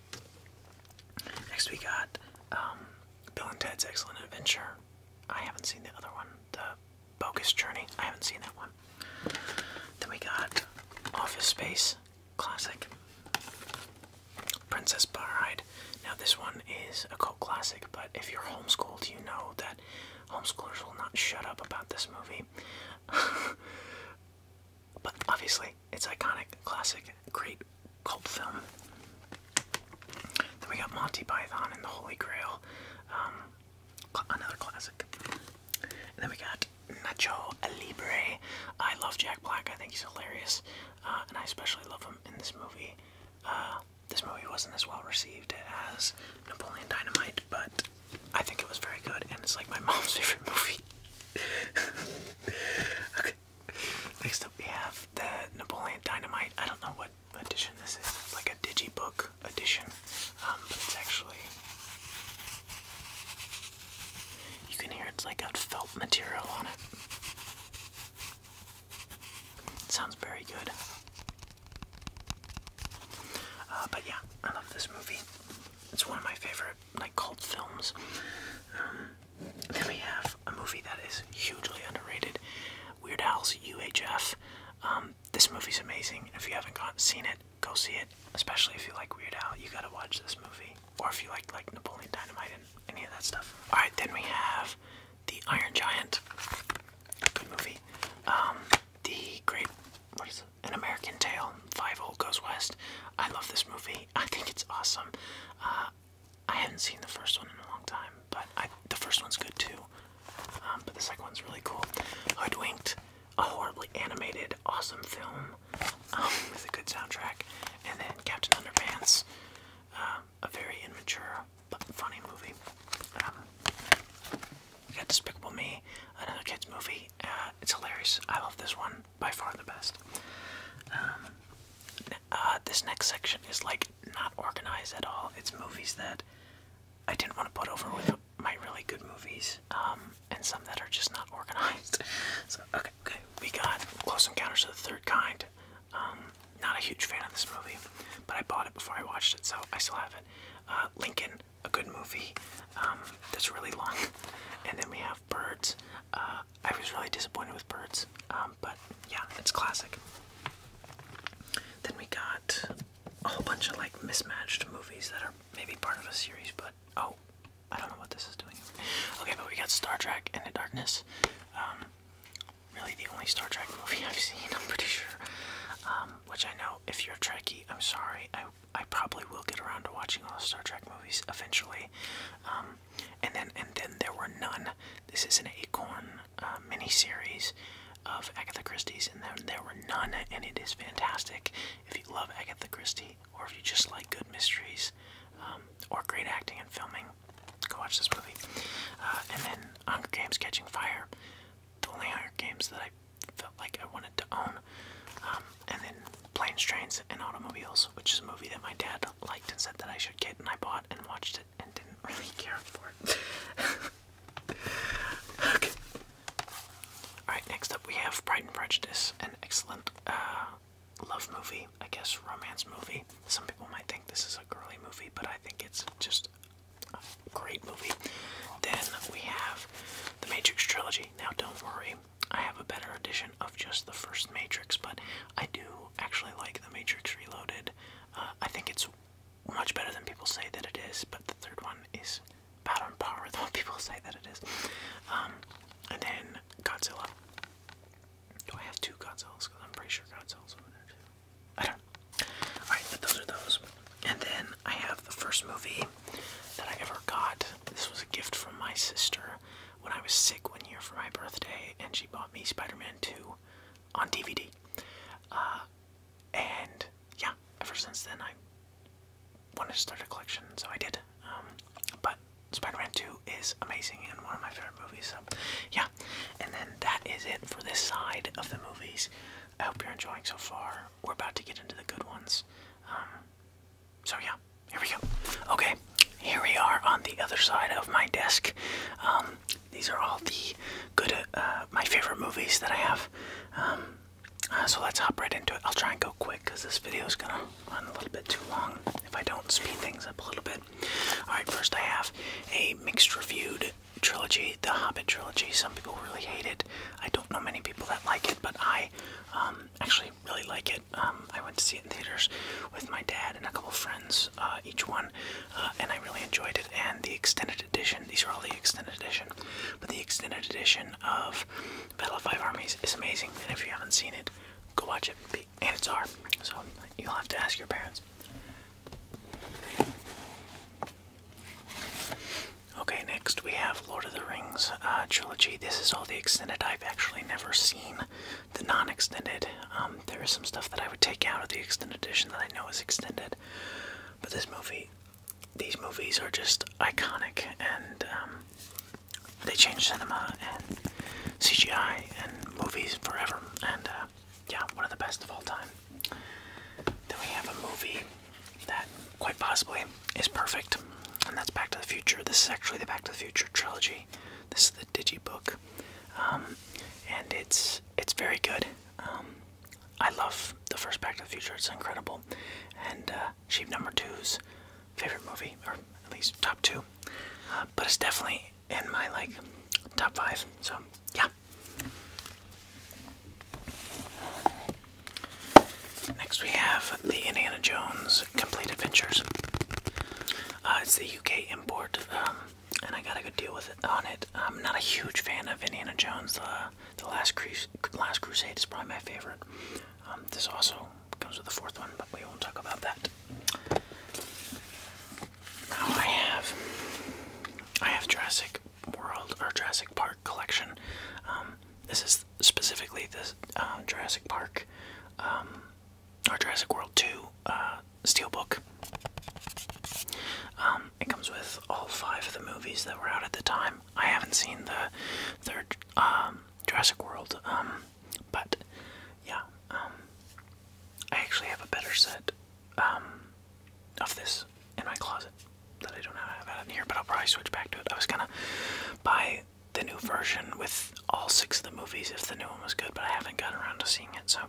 Next, we got um, Bill and Ted's Excellent Adventure. I haven't seen the other one, the Bogus Journey. I haven't seen that one. Then we got Office Space, classic. Princess Bride*. Now this one is a cult classic, but if you're homeschooled, you know that homeschoolers will not shut up about this movie. but obviously, it's iconic, classic, great cult film. Then we got Monty Python and the Holy Grail, um, another classic. then we got Nacho Libre. I love Jack Black. I think he's hilarious, uh, and I especially love him in this movie. Uh, this movie wasn't as well received as Napoleon Dynamite, but I think it was very good, and it's like my mom's favorite movie. okay, Next up, we have the Napoleon Dynamite. I don't know what edition this is. like a digibook edition, um, but it's actually. You can hear it's like a felt material on it. sounds very good. Uh, but yeah, I love this movie. It's one of my favorite like cult films. Um, then we have a movie that is hugely underrated. Weird Al's UHF. Um, this movie is amazing. If you haven't seen it, go see it. Especially if you like Weird Al, you gotta watch this movie. Or if you like like Napoleon Dynamite and any of that stuff. All right, then we have The Iron Giant. Good movie. Um, the Great, what is it? An American Tale. Five Old Goes West. I love this movie. I think it's awesome. Uh, I haven't seen the first one in a long time, but the first one's good too. Um, but the second one's really cool. Hoodwinked, a horribly animated, awesome film um, with a good soundtrack, and then Captain Underpants, uh, a very immature but funny movie. Um, we got Despicable Me, another kids movie. Uh, it's hilarious. I love this one by far the best. Um, uh, this next section is like not organized at all. It's movies that I didn't want to put over with my really good movies, um, and some that are just not organized. so okay, okay, we got Close Encounters of the Third Kind. Um, not a huge fan of this movie, but I bought it before I watched it, so I still have it. Uh, Lincoln, a good movie um, that's really long, and then we have Birds. Uh, I was really disappointed with Birds. Um, but yeah, it's classic. Then we got a whole bunch of like mismatched movies that are maybe part of a series, but oh, I don't know what this is doing. Okay, but we got Star Trek in the Darkness. Um, really the only Star Trek movie I've seen, I'm pretty sure. Um, which I know, if you're Trekkie, I'm sorry. I, I probably will get around to watching all the Star Trek movies eventually. Um, and then and then there were none. This is an acorn uh, mini-series of Agatha Christie's, and there, there were none, and it is fantastic. If you love Agatha Christie, or if you just like good mysteries, um, or great acting and filming, go watch this movie. Uh, and then Hunger Games: Catching Fire, the only Hunger Games that I felt like I wanted to own. Um, and then Planes, Trains, and Automobiles, which is a movie that my dad liked and said that I should get, and I bought and watched it and didn't really care for it. okay. Alright, next up we have Pride and Prejudice, an excellent uh, love movie, I guess romance movie. Some people might think this is a girly movie, but I think it's just a great movie. Then we have the Matrix trilogy. Now, don't worry, I have a better edition of just the first Matrix, but I do actually like The Matrix Reloaded. Uh, I think it's much better than people say that it is, but the third one is about on par with what people say that it is. Um, and then Godzilla. Do I have two Godzillas? Because I'm pretty sure Godzilla's over there too. I don't. Alright, but those are those. And then I have the first movie that I ever got. This was a gift from my sister when I was sick one year for my birthday, and she bought me Spider Man 2 on DVD. Uh, and yeah, ever since then I wanted to start a collection, so I did. Um, but Spider-Man 2 is amazing and one of my favorite movies, so yeah. And then that is it for this side of the movies. I hope you're enjoying so far. We're about to get into the good ones. Um, so yeah, here we go. Okay, here we are on the other side of my desk. Um, these are all the good, uh, my favorite movies that I have. Um, uh, so let's hop right into it. I'll try and go quick because this video is gonna run a little bit too long if I don't speed things up a little bit. All right, first I have a mixed reviewed trilogy, the Hobbit trilogy. Some people really hate it. I don't know many people that like it, but I um, actually really like it. Um, I went to see it in theaters with my dad and a couple friends, uh, each one uh, and I really enjoyed it. And the extended edition, these are all the extended edition, but the extended edition of Battle of Five Armies is amazing. And if you haven't seen it, go watch it. And it's R, so you'll have to ask your parents. Okay, next we have Lord of the Rings uh, trilogy. This is all the extended I've actually never seen, the non-extended. Um, there is some stuff that I would take out of the extended edition that I know is extended, but this movie, these movies are just iconic, and um, they changed cinema and CGI and movies forever. And uh, yeah, one of the best of all time. Then we have a movie that quite possibly is perfect, and that's Back to the Future. This is actually the Back to the Future trilogy. This is the Digibook, um, and it's it's very good. Um, I love the first Back to the Future. It's incredible, and uh, Sheep Number Two's favorite movie, or at least top two. Uh, but it's definitely in my like top five. So yeah. Next we have the Indiana Jones Complete Adventures. Uh, it's the UK import. Um, and I got a good deal with it on it. I'm not a huge fan of Indiana Jones. Uh, the Last Crus Last Crusade is probably my favorite. Um, this also comes with the fourth one, but we won't talk about that. Now I have I have Jurassic World or Jurassic Park collection. Um, this is specifically the uh, um, Jurassic Park or Jurassic World Two. Uh, steelbook. Um, it comes with all five of the movies that were out at the time. I haven't seen the third um, Jurassic World, um, but yeah, um, I actually have a better set um, of this in my closet that I don't have out here, but I'll probably switch back to it. I was gonna buy the new version with all six of the movies if the new one was good, but I haven't gotten around to seeing it, so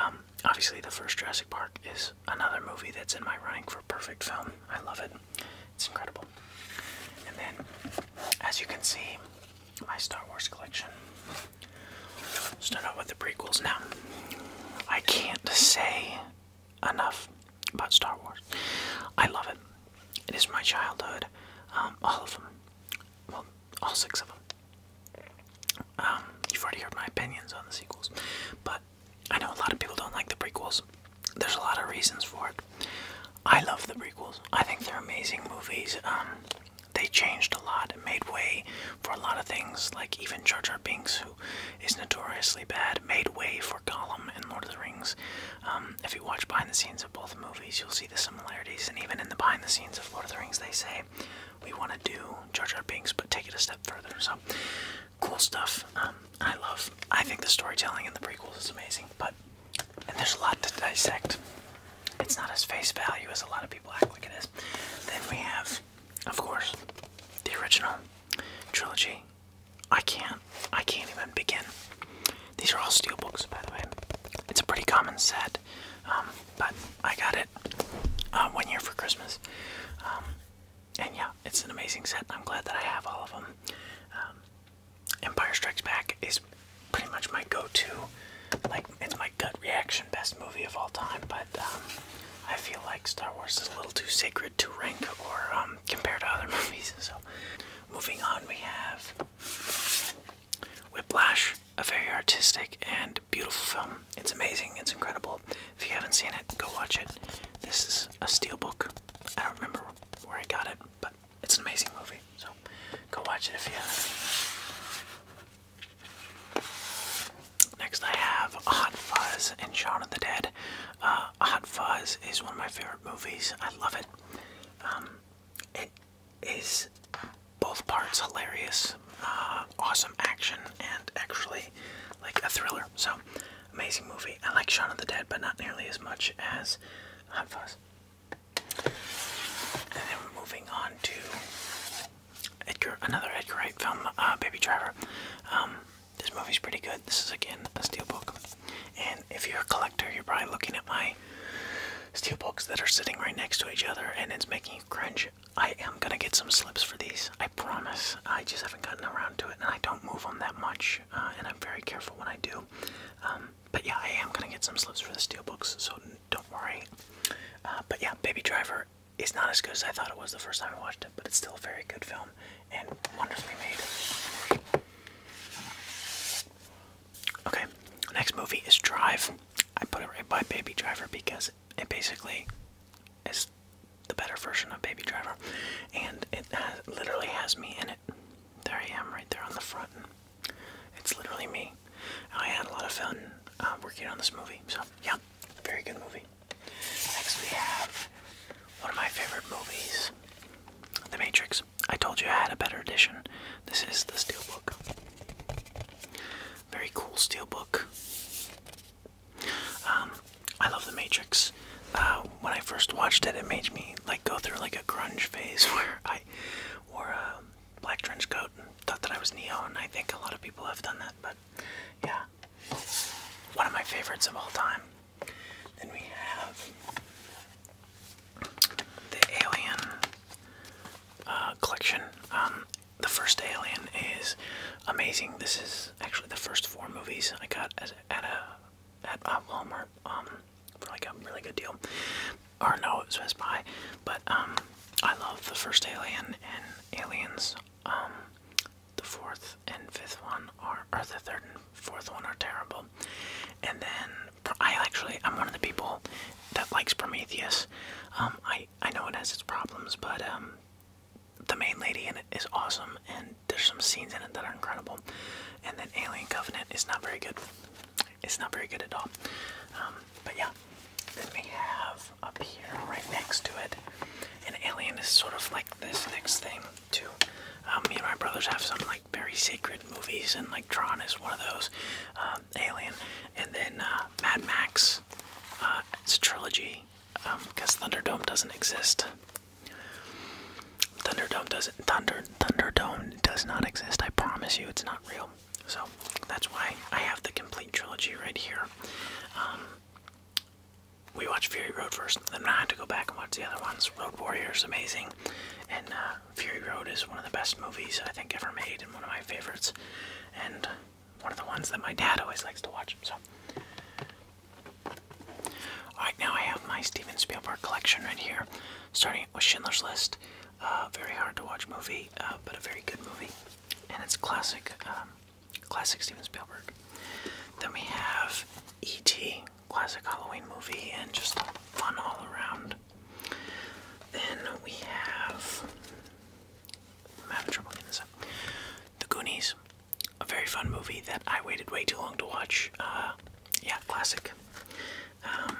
um, obviously, the first Jurassic Park is another movie that's in my running for perfect film. I love it, it's incredible. And then, as you can see, my Star Wars collection. Start with the prequels now. I can't say enough about Star Wars. I love it. It is my childhood. Um, all of them. Well, all six of them. Um, you've already heard my opinions on the sequels, but I know a lot of people don't like the prequels. There's a lot of reasons for it. I love the prequels. I think they're amazing movies. Um, they changed a lot and made way for a lot of things, like even Jar Jar Binks, who is notoriously bad, made way for Gollum in Lord of the Rings. Um, if you watch behind the scenes of both movies, you'll see the similarities, and even in the behind the scenes of Lord of the Rings, they say we want to do Jar Jar Binks, but take it a step further. So cool stuff. Um, I love. I think the storytelling in the prequels is amazing, but there's a lot to dissect. It's not as face value as a lot of people act like it is. Then we have, of course, the original trilogy. I can't. I can't even begin. These are all steel books, by the way. It's a pretty common set. Um, but I got it um, one year for Christmas. Um, and yeah, it's an amazing set. I'm glad that I have all of them. Um, Empire Strikes Back is pretty much my go-to. Like it's my gut reaction, best movie of all time. But I feel like Star Wars is a little too sacred to rank or compare to other movies. So moving on, we have Whiplash a very artistic and beautiful film. It's amazing. It's incredible. If you haven't seen it, go watch it. This is a steelbook. I don't remember where I got it, but it's an amazing movie. So go watch it if you haven't. Next, I have Hot Fuzz and Shaun of the Dead. Uh, Hot Fuzz is one of my favorite movies. I love it. Um, it is both parts hilarious, uh, awesome action, and actually like a thriller. So amazing movie. I like Shaun of the Dead, but not nearly as much as Hot Fuzz. And then we're moving on to Edgar, another Edgar Wright film, uh, Baby Driver. Um, this movie's pretty good. This is again a book. and if you're a collector, you're probably looking at my steel books that are sitting right next to each other, and it's making you cringe. I am gonna get some slips for these. I promise. I just haven't gotten around to it, and I don't move them that much, uh, and I'm very careful when I do. Um, but yeah, I am gonna get some slips for the steel books, so don't worry. Uh, but yeah, Baby Driver is not as good as I thought it was the first time I watched it, but it's still a very good film and wonderfully made. Okay, next movie is Drive. I put it right by Baby Driver because it basically is the better version of Baby Driver, and it literally has me in it. There I am, right there on the front. it's literally me. I had a lot of fun uh, working on this movie, so yeah, very good movie. Next, we have one of my favorite movies, The Matrix. I told you I had a better edition. This is the steelbook. Very cool steel book. Um, I love The Matrix. Uh, when I first watched it, it made me like go through like a grunge phase where I wore a black trench coat and thought that I was Neo, and I think a lot of people have done that. But yeah, one of my favorites of all time. Then we have the Alien uh, collection. Um, the first Alien is amazing. This is actually the first four movies I got at a at uh, Walmart um, for like a really good deal. Or no, it was Best Buy. But um, I love the first Alien and Aliens. Um, the fourth and fifth one are, or the third and fourth one are terrible. And then I actually I'm one of the people that likes Prometheus. I I I know it has its problems, but um, the main lady in it is awesome, and there's some scenes in it that are incredible. And then Alien Covenant is not very good. It's not very good at all. Um, but yeah, then we have up here right next to it, and Alien is sort of like this next thing too. Um, me and my brothers have some like very sacred movies, and like Tron is one of those. Um, Alien and then uh, Mad Max. Uh, it's a trilogy because um, Thunderdome doesn't exist. Thunderdome doesn't Thunder Thunderdome does not exist. I promise you, it's not real. So that's why I have the complete trilogy right here. Um, we watched Fury Road first, then I had to go back and watch the other ones. Road Warrior is amazing, and uh, Fury Road is one of the best movies I think ever made and one of my favorites. And one of the ones that my dad always likes to watch. So, alright, now I have my Steven Spielberg collection right here, starting with Schindler's List. Uh, very hard to watch movie, uh, but a very good movie, and it's classic, um, classic Steven Spielberg. Then we have E.T., classic Halloween movie, and just fun all around. Then we have the Goonies, a very fun movie that I waited way too long to watch. Uh, yeah, classic. Um,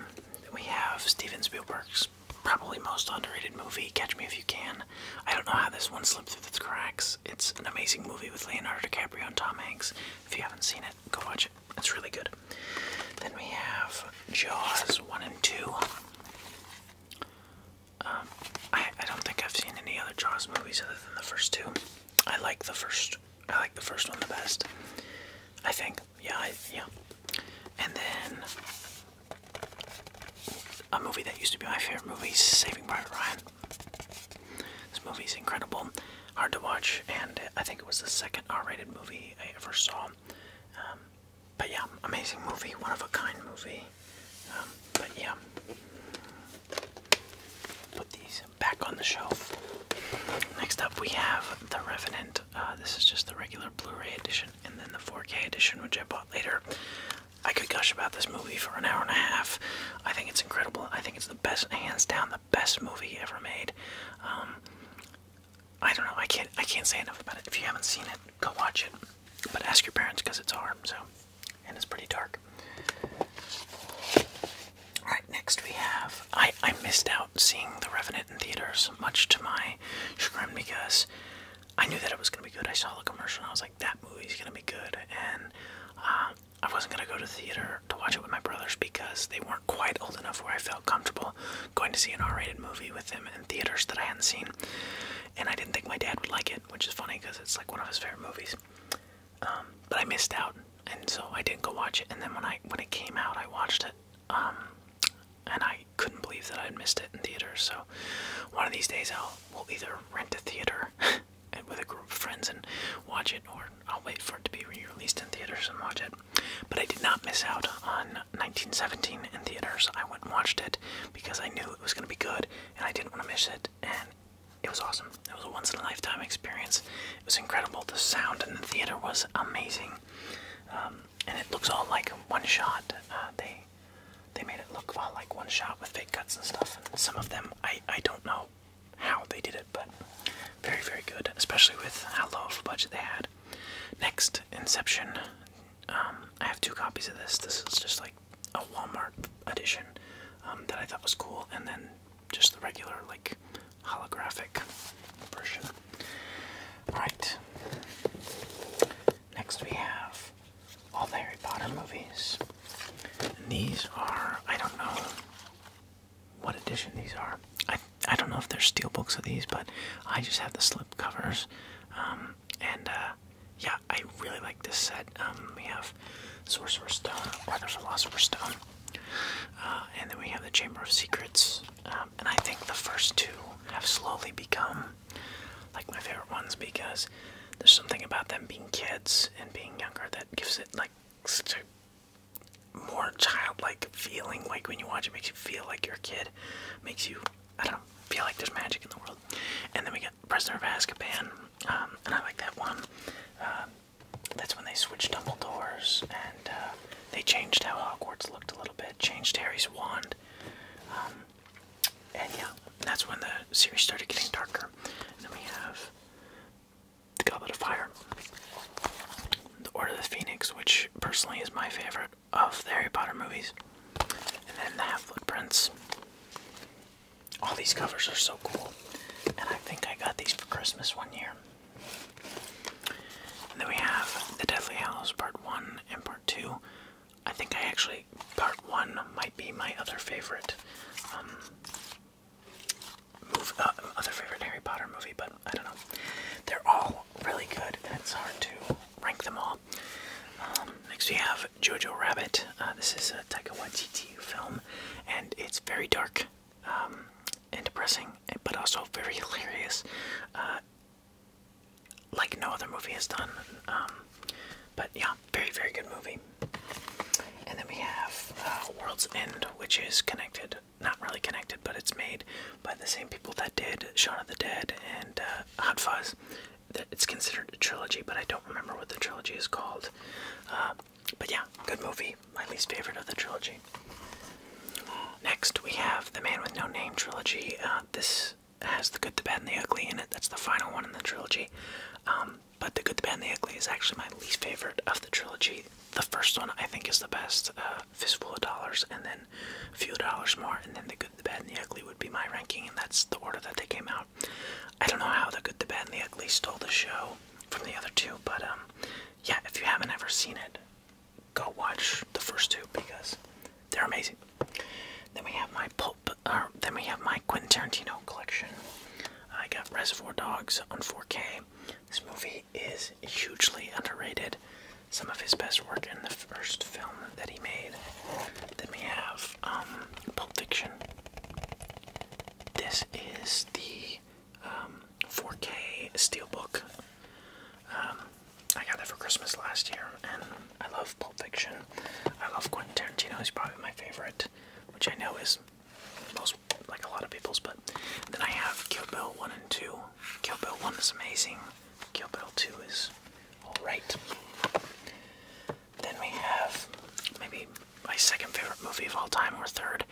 we have Steven Spielberg's probably most underrated movie, Catch Me If You Can. I don't know how this one slipped through the cracks. It's an amazing movie with Leonardo DiCaprio and Tom Hanks. If you haven't seen it, go watch it. It's really good. Then we have Jaws 1 and 2. Um, I, don't think I've seen any other Jaws movies other than the first two. I like the first. I like the first one the best. I think. Yeah. yeah. And then a movie that used to be my favorite movie, Saving Private Ryan. This movie is incredible, hard to watch, and I think it was the second R-rated movie I ever saw. Um, but yeah, amazing movie, one of a kind movie. Um, but yeah, put these back on the shelf. Next up, we have The Revenant. Uh, this is just the regular Blu-ray edition, and then the 4K edition, which I bought later. I could gush about this movie for an hour and a half. I think it's incredible. I think it's the best, hands down, the best movie ever made. Um, I don't know. I can't. I can't say enough about it. If you haven't seen it, go watch it. But ask your parents because it's hard, so and it's pretty dark. Alright, next we have I, I missed out seeing The Revenant in theaters, much to my chagrin because I knew that it was gonna be good. I saw the commercial and I was like, that movie's gonna be good and um, I wasn't gonna go to theater to watch it with my brothers because they weren't quite old enough where I felt comfortable going to see an R rated movie with them theaters that I hadn't seen, and I didn't think my dad would like it, which is funny because it's like one of his favorite movies. Um, but I missed out, and so I didn't go watch it. And then when I when it came out, I watched it, um, and I couldn't believe that i had missed it in theaters. So one of these days, I'll we will either rent a theater and with a group of friends and watch it, or I'll wait for it to be re-released in theaters and watch it. But I did not miss out on 1917 in theaters. I went and watched it because I knew it was going to be good and I didn't want to miss it. And it was awesome. It was a once in a lifetime experience. It was incredible. The sound in the theater was amazing. Um, and it looks all like one shot. Uh, they they made it look all like one shot with fake cuts and stuff. And some of them, I, I don't know how they did it, but very, very good, especially with how low of a budget they had. Next, Inception um, I have two copies of this. This is just like a Walmart edition um, that I thought was cool, and then just the regular like holographic version. All right. Next we have all the Harry Potter movies. And these are I don't know what edition these are. I I don't know if there's steel books of these, but I just have the slip covers. Um, and uh, yeah, I really like this set. Um, we have Sorcerer's Stone, or the Philosopher's Stone, uh, and then we have the Chamber of Secrets. Um, and I think the first two have slowly become like my favorite ones because there's something about them being kids and being younger that gives it like such a more childlike feeling. Like when you watch it, makes you feel like you're a kid, makes you I don't feel like there's magic in the world. And then we get Prisoner of Azkaban, um, and I like that one. Um, that's when they switched Dumbledore's and uh, they changed how Hogwarts looked a little bit, changed Harry's wand. Um, and yeah, that's when the series started getting darker. And then we have The Goblet of Fire, The Order of the Phoenix, which personally is my favorite of the Harry Potter movies. And then the Half Blood Prince. All these covers are so cool. And I think I got these for Christmas one year. And then we have The Deathly Hallows Part 1 and Part 2. I think I actually, Part 1 might be my other favorite. Um, uh, other favorite Harry Potter movie, but I don't know. They're all really good, and it's hard to rank them all. Um, next we have Jojo Rabbit. Uh, this is a Taika Waititi film, and it's very dark um, and depressing, but also very hilarious, uh, like no other movie has done. Um, but yeah, very very good movie. And then we have uh, World's End, which is connected, not really connected, but it's made by the same people that did Shaun of the Dead and Hot Fuzz. It's considered a trilogy, but I don't remember what the trilogy is called. Uh, but yeah, good movie. My least favorite of the trilogy. Next, we have the Man with No Name trilogy. Uh, this has the Good, the Bad, and the Ugly in it. That's the final one in the trilogy. Um, but the Good, the Bad, and the Ugly is actually my least favorite of the trilogy. The first one I think is the best, uh, Fistful of Dollars, and then a few dollars more, and then the good, the bad, and the ugly would be my ranking, and that's the order that they came out. I don't know how the good, the bad, and the ugly stole the show from the other two, but um, yeah, if you haven't ever seen it, go watch the first two because they're amazing. Then we have my pulp, uh, then we have my Quentin Tarantino collection. I got Reservoir Dogs on 4K. This movie is hugely underrated some of his best work in the first film that he made. Then we have um, Pulp Fiction. This is the 4K um, steelbook. Um, I got that for Christmas last year, and I love Pulp Fiction. I love Quentin Tarantino. He's probably my favorite, which I know is most like a lot of people's. But then I have Kill Bill one and two. Kill Bill one is amazing. Kill Bill two is all right. Then we have maybe my second favorite movie of all time, or third,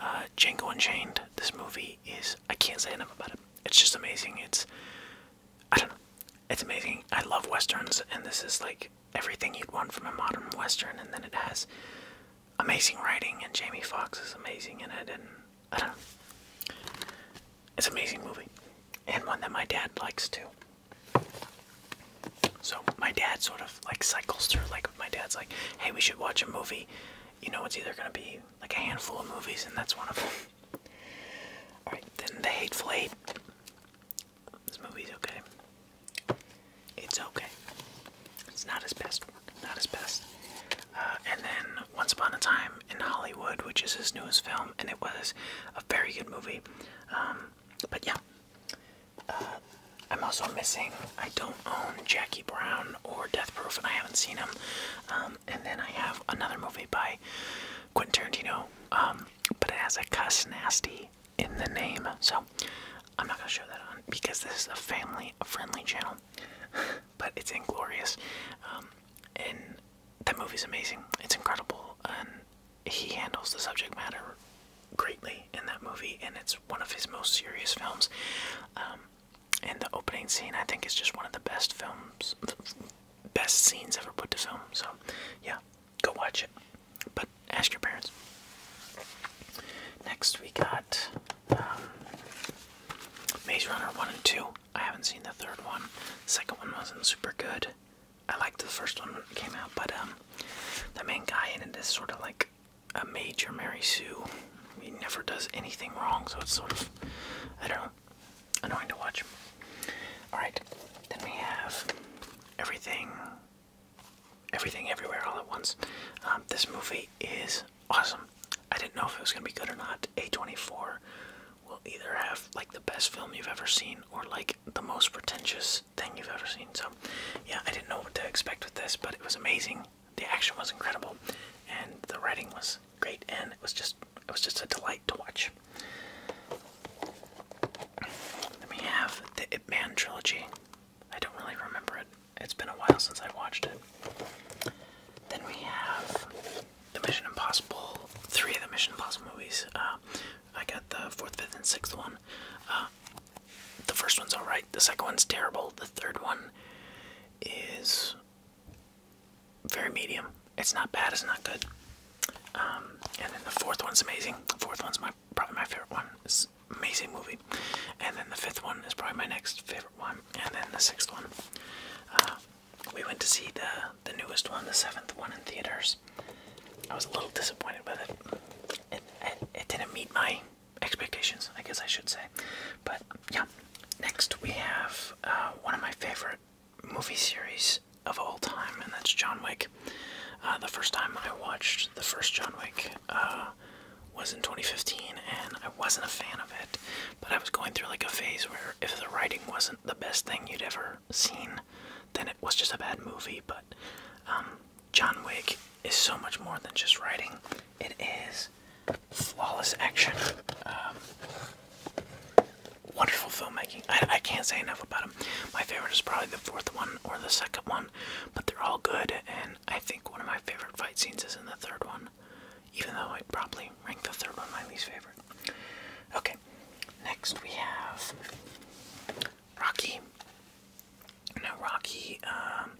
uh, Django Unchained. This movie is I can't say enough about it. It's just amazing. It's I don't know. It's amazing. I love westerns, and this is like everything you'd want from a modern western. And then it has amazing writing, and Jamie Fox is amazing in it, and I don't know. It's an amazing movie, and one that my dad likes too. So my dad sort of like cycles through. Like my dad's like, "Hey, we should watch a movie." You know, it's either gonna be like a handful of movies, and that's one of them. All right, then The Hateful Eight. This movie's okay. It's okay. It's not his best work. Not his best. Uh, and then Once Upon a Time in Hollywood, which is his newest film, and it was a very good movie. Um, but yeah, uh, I'm also missing. I don't own Jackie Brown or Death Proof, and I haven't seen them. Um, and then I have another movie by Quentin Tarantino, um, but it has a cuss nasty in the name, so I'm not gonna show that on because this is a family-friendly channel. but it's inglorious, um, that movie's amazing. It's incredible, and he handles the subject matter greatly in that movie, and it's one of his most serious films. Um, and the opening scene, I think, is just one of the best films, best scenes ever put to film. So, yeah, go watch it, but ask your parents. Next, we got um, Maze Runner 1 and 2. I haven't seen the third one. The second one wasn't super good. I liked the first one when came out, but um, the main guy in it is sort of like a major Mary Sue. He never does anything wrong, so it's sort of, I don't know, annoying to watch. Alright, then we have Everything, Everything Everywhere All at Once. Um, this movie is awesome. I didn't know if it was going to be good or not. A24 will either have like the best film you've ever seen or like the most pretentious thing you've ever seen. So, yeah, I didn't know what to expect with this, but it was amazing. The action was incredible, and the writing was great, and it was just it was just a delight to watch. Then we have the Ip Man trilogy. I don't really remember it. It's been a while since I watched it. Then we have the Mission Impossible, three of the Mission Impossible movies. Uh, I got the fourth, fifth, and sixth one. Uh, the first one's alright, the second one's terrible, the third one is very medium. It's not bad, it's not good. Um, and then the fourth one's amazing. The fourth one's my probably my favorite one. It's an amazing movie. And then the fifth one is probably my next favorite one. And then the sixth one. Uh, we went to see the the newest one, the seventh one in theaters. I was a little disappointed with it. It it, didn't meet my expectations, I guess I should say. But yeah. Next we have uh, one of my favorite movie series of all time, and that's John Wick. Uh, the first time I watched the first John Wick uh, was in 2015, and I wasn't a fan of it. But I was going through like a phase where if the writing wasn't the best thing you'd ever ever then it was just a bad movie. But um, John Wick is so much more than just writing, it is flawless action, um, wonderful filmmaking. I, can't say enough about them. My favorite is probably the fourth one or the second one, but they're all good, and I think one of my favorite fight scenes is in the third one. Even though i probably rank the third one my least favorite. Okay, next we have Rocky. Now Rocky, um,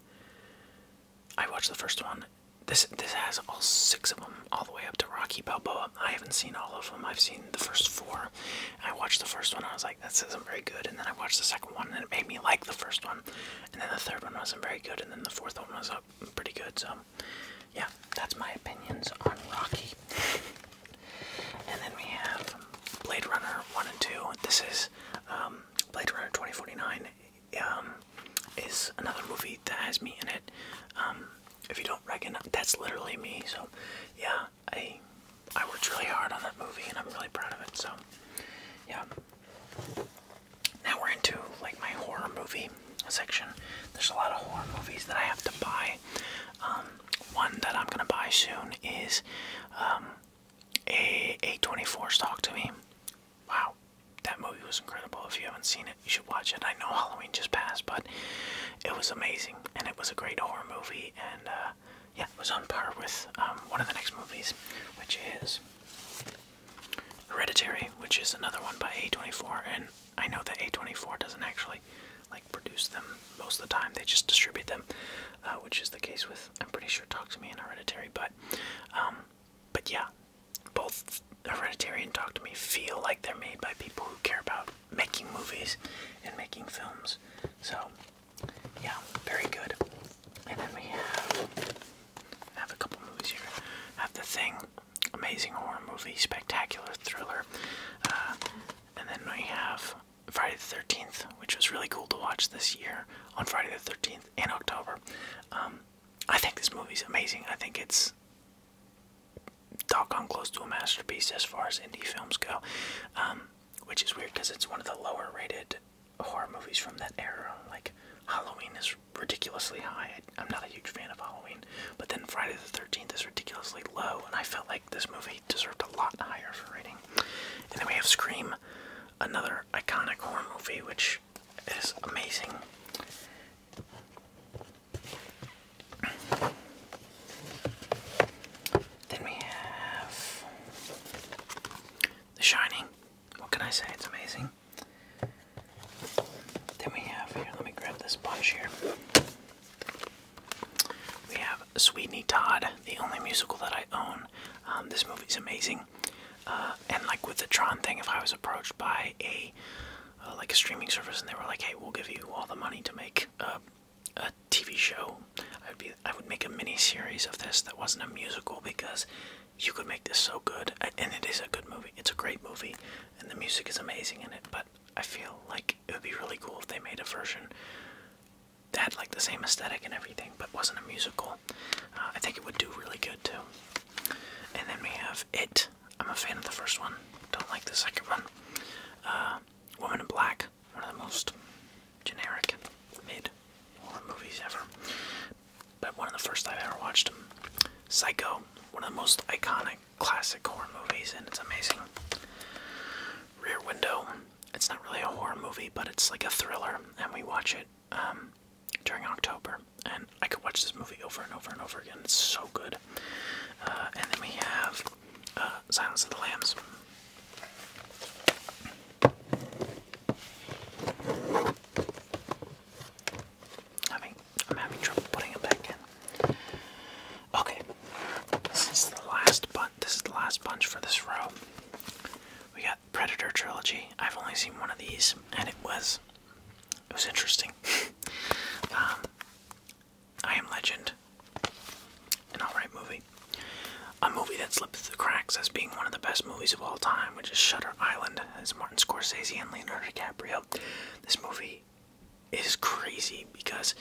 I watched the first one. This this has all six of them, all the way up to Rocky Balboa. I haven't seen all of them. I've seen the first four. I watched the first one. I was like, "This isn't very good." And then I watched the second one, and it made me like the first one. And then the third one wasn't very good. And then the fourth one was uh, pretty good. So um, yeah, that's my opinions on Rocky. and then we have Blade Runner 1 and 2. This is um, Blade Runner 2049. Um, is another movie that has me in it. if you don't recognize, that's literally me. So, yeah, I I worked really hard on that movie, and I'm really proud of it. So, yeah. Now we're into like my horror movie section. There's a lot of horror movies that I have to buy. Um, one that I'm gonna buy soon is um, a A24's Talk to Me. Wow, that movie was incredible. If you haven't seen it, you should watch it. I know Halloween just passed, but it was amazing, and it was a great horror movie. And uh, yeah, it was on par with um, one of the next movies, which is. Hereditary, which is another one by A24, and I know that A24 doesn't actually like produce them most of the time; they just distribute them, uh, which is the case with I'm pretty sure Talk to Me and Hereditary. But, um, but yeah, both Hereditary and Talk to Me feel like they're made by people who care about making movies and making films. So, yeah, very good. And then we have a couple movies here. have The Thing amazing horror movie, spectacular thriller. Uh, and then we have Friday the 13th, which was really cool to watch this year on Friday the 13th in October. Um, I think this movie is amazing. I think it's doggone close to a masterpiece as far as indie films go, um, which is weird because it's one of the lower rated horror movies from that era. Like, Halloween is ridiculously high, I'm not a huge fan of Halloween. But then Friday the 13th is ridiculously low, and I felt like this movie deserved a lot higher for rating. And then we have Scream, another iconic horror movie, which is amazing. Then we have The Shining. What can I say? It's amazing. Then we have here, let me grab this bunch here. We have Sweeney Todd, the only musical that I own. Um, this movie is amazing. Uh, and like with the Tron thing, if I was approached by a uh, like a streaming service and they were like, "Hey, we'll give you all the money to make a TV show," I would be I would make a mini series of this that wasn't a musical because you could make this so good. And it is a good movie. It's a great movie, and the music is amazing in it. But but I feel like it would be really cool if they made a version that had like the same aesthetic and everything, but wasn't a musical. Uh, I think it would do really good too. And then we have It. I'm a fan of the first one, don't like the second one. Uh, Woman in Black, one of the most generic mid horror movies ever, but one of the first I've ever watched. Psycho, one of the most iconic classic horror movies, and it's amazing. Rear Window. It's not really a horror movie, but it's like a thriller, and we watch it um, during October. And I could watch this movie over and over and over again. It's so good. Uh, and then we have uh, Silence of the Lambs. I'm having trouble putting it back in. Okay, this is the last bunch. This is the last bunch for this row. We got Predator trilogy. I've only seen one of these, and it was it was interesting. Um, I Am Legend, an alright movie. A movie that slipped through the cracks as being one of the best movies of all time, which is Shutter Island, as Martin Scorsese and Leonardo DiCaprio. This movie is crazy because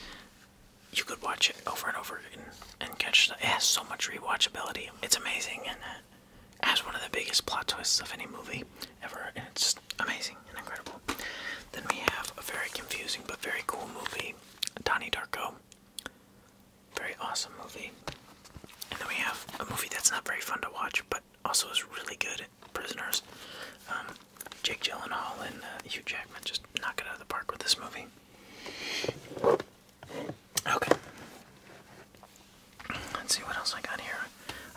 you could watch it over and over again and catch it has so much rewatchability. It's amazing and it has one of the biggest plot twists of any movie ever and it's amazing and incredible. Then we have a very confusing but very cool movie, Donnie Darko. Very awesome movie. And then we have a movie that's not very fun to watch but also is really good, Prisoners. Um, Jake Gyllenhaal and uh, Hugh Jackman just knock it out of the park with this movie. Okay. Let's see what else I got here.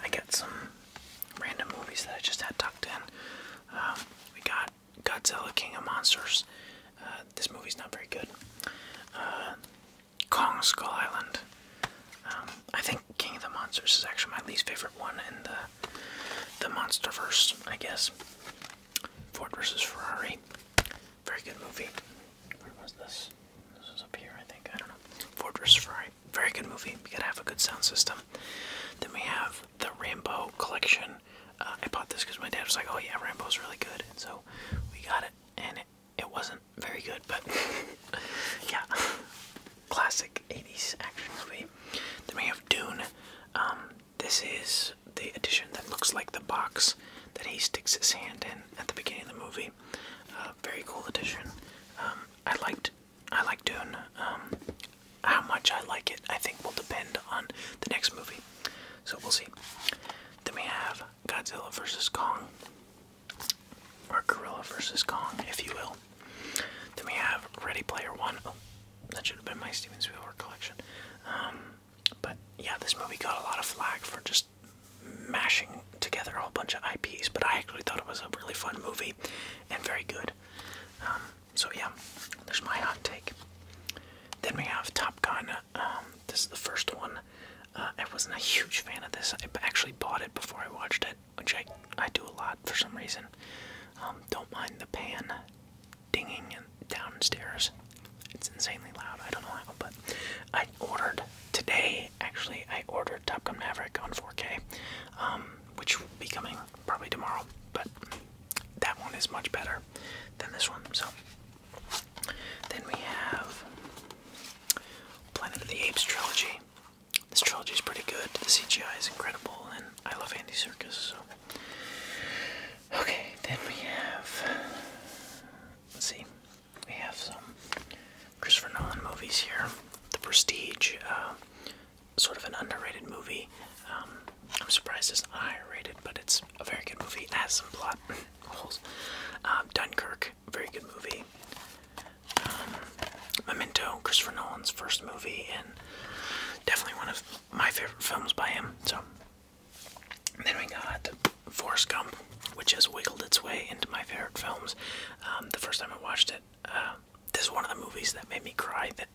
I got some random movies that I just had tucked in. Um, we got Godzilla King of Monsters. Uh, this movie's not very good. Uh, Kong Skull Island. Um, I think King of the Monsters is actually my least favorite one in the the MonsterVerse, I guess. Ford versus Ferrari. Very good movie. Where was this? This was up here, I think. I don't know. Ford versus Ferrari. Very good movie. You gotta have a good sound system. Then we have the Rambo collection. Uh, I bought this because my dad was like, "Oh yeah, Rambo's really good," and so we got it. And it wasn't very good, but yeah, classic 80s action movie. Then we have Dune. Um, this is the edition that looks like the box that he sticks his hand in at the beginning of the movie. Uh, very cool edition. Um, I liked, I like Dune. Um, how much I like it, I think, will depend on the next movie. So we'll see. Then we have Godzilla versus Kong, or Gorilla versus Kong, if you will. Then we have Ready Player One. Oh, that should have been my Steven Spielberg collection. Um, but yeah, this movie got a lot of flack for just mashing together a whole bunch of IPs, but I actually thought it was a really fun movie and very good. Um, so yeah, there's my hot take. Then we have Top Gun. Um, this is the first one. Uh, I wasn't a huge fan of this. I actually bought it before I watched it, which I, I do a lot for some reason. Um, don't mind the pan dinging downstairs. It's insanely loud. I don't know how, but I ordered today. Actually, I ordered Top Gun Maverick on 4K, um, which will be coming probably tomorrow. But that one is much better than this one. So then we have Planet of the Apes trilogy. This trilogy is pretty good. The CGI is incredible, and I love Andy Serkis. So, okay, then we have. Let's see, we have some Christopher Nolan movies here. The Prestige, uh, sort of an underrated movie. Um, I'm surprised this not higher rated, but it's a very good movie. It has some plot holes. Um, Dunkirk, very good movie. Um, Memento, Christopher Nolan's first movie, and Definitely one of my favorite films by him. So then we got Forrest Gump, which has wiggled its way into my favorite films. Um, the first time I watched it, uh, this is one of the movies that made me cry. That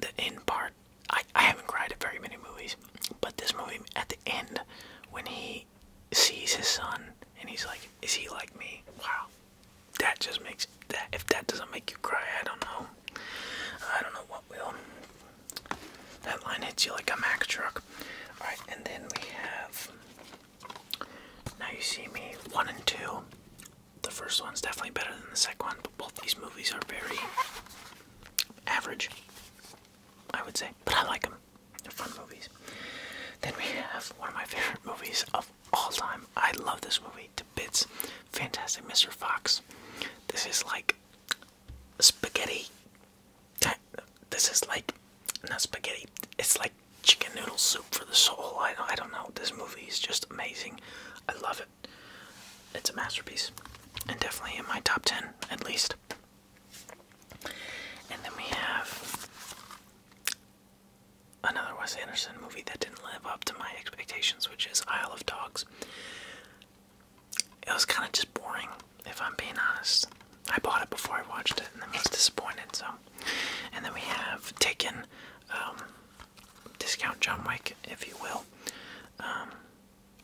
that in part, I I haven't cried at very many movies, but this movie at the end when he sees his son and he's like, "Is he like me?" Wow, that just makes that if that doesn't make you cry, I don't know. I don't know what will. That line hits you like a Mack truck. Alright, and then we have Now You See Me one and two. The first one's definitely better than the second one, but both these movies are very average, I would say. But I like them. They're fun movies. Then we have one of my favorite movies of all time. I love this movie to bits. Fantastic Mr. Fox. This is like spaghetti. This is like not spaghetti. It's like chicken noodle soup for the soul. I don't, I don't know. This movie is just amazing. I love it. It's a masterpiece, and definitely in my top ten at least. And then we have another Wes Anderson movie that didn't live up to my expectations, which is Isle of Dogs. It was kind of just boring, if I'm being honest. I bought it before I watched it and I was disappointed, so. And then we have taken um, Discount John Wick, if you will. Um,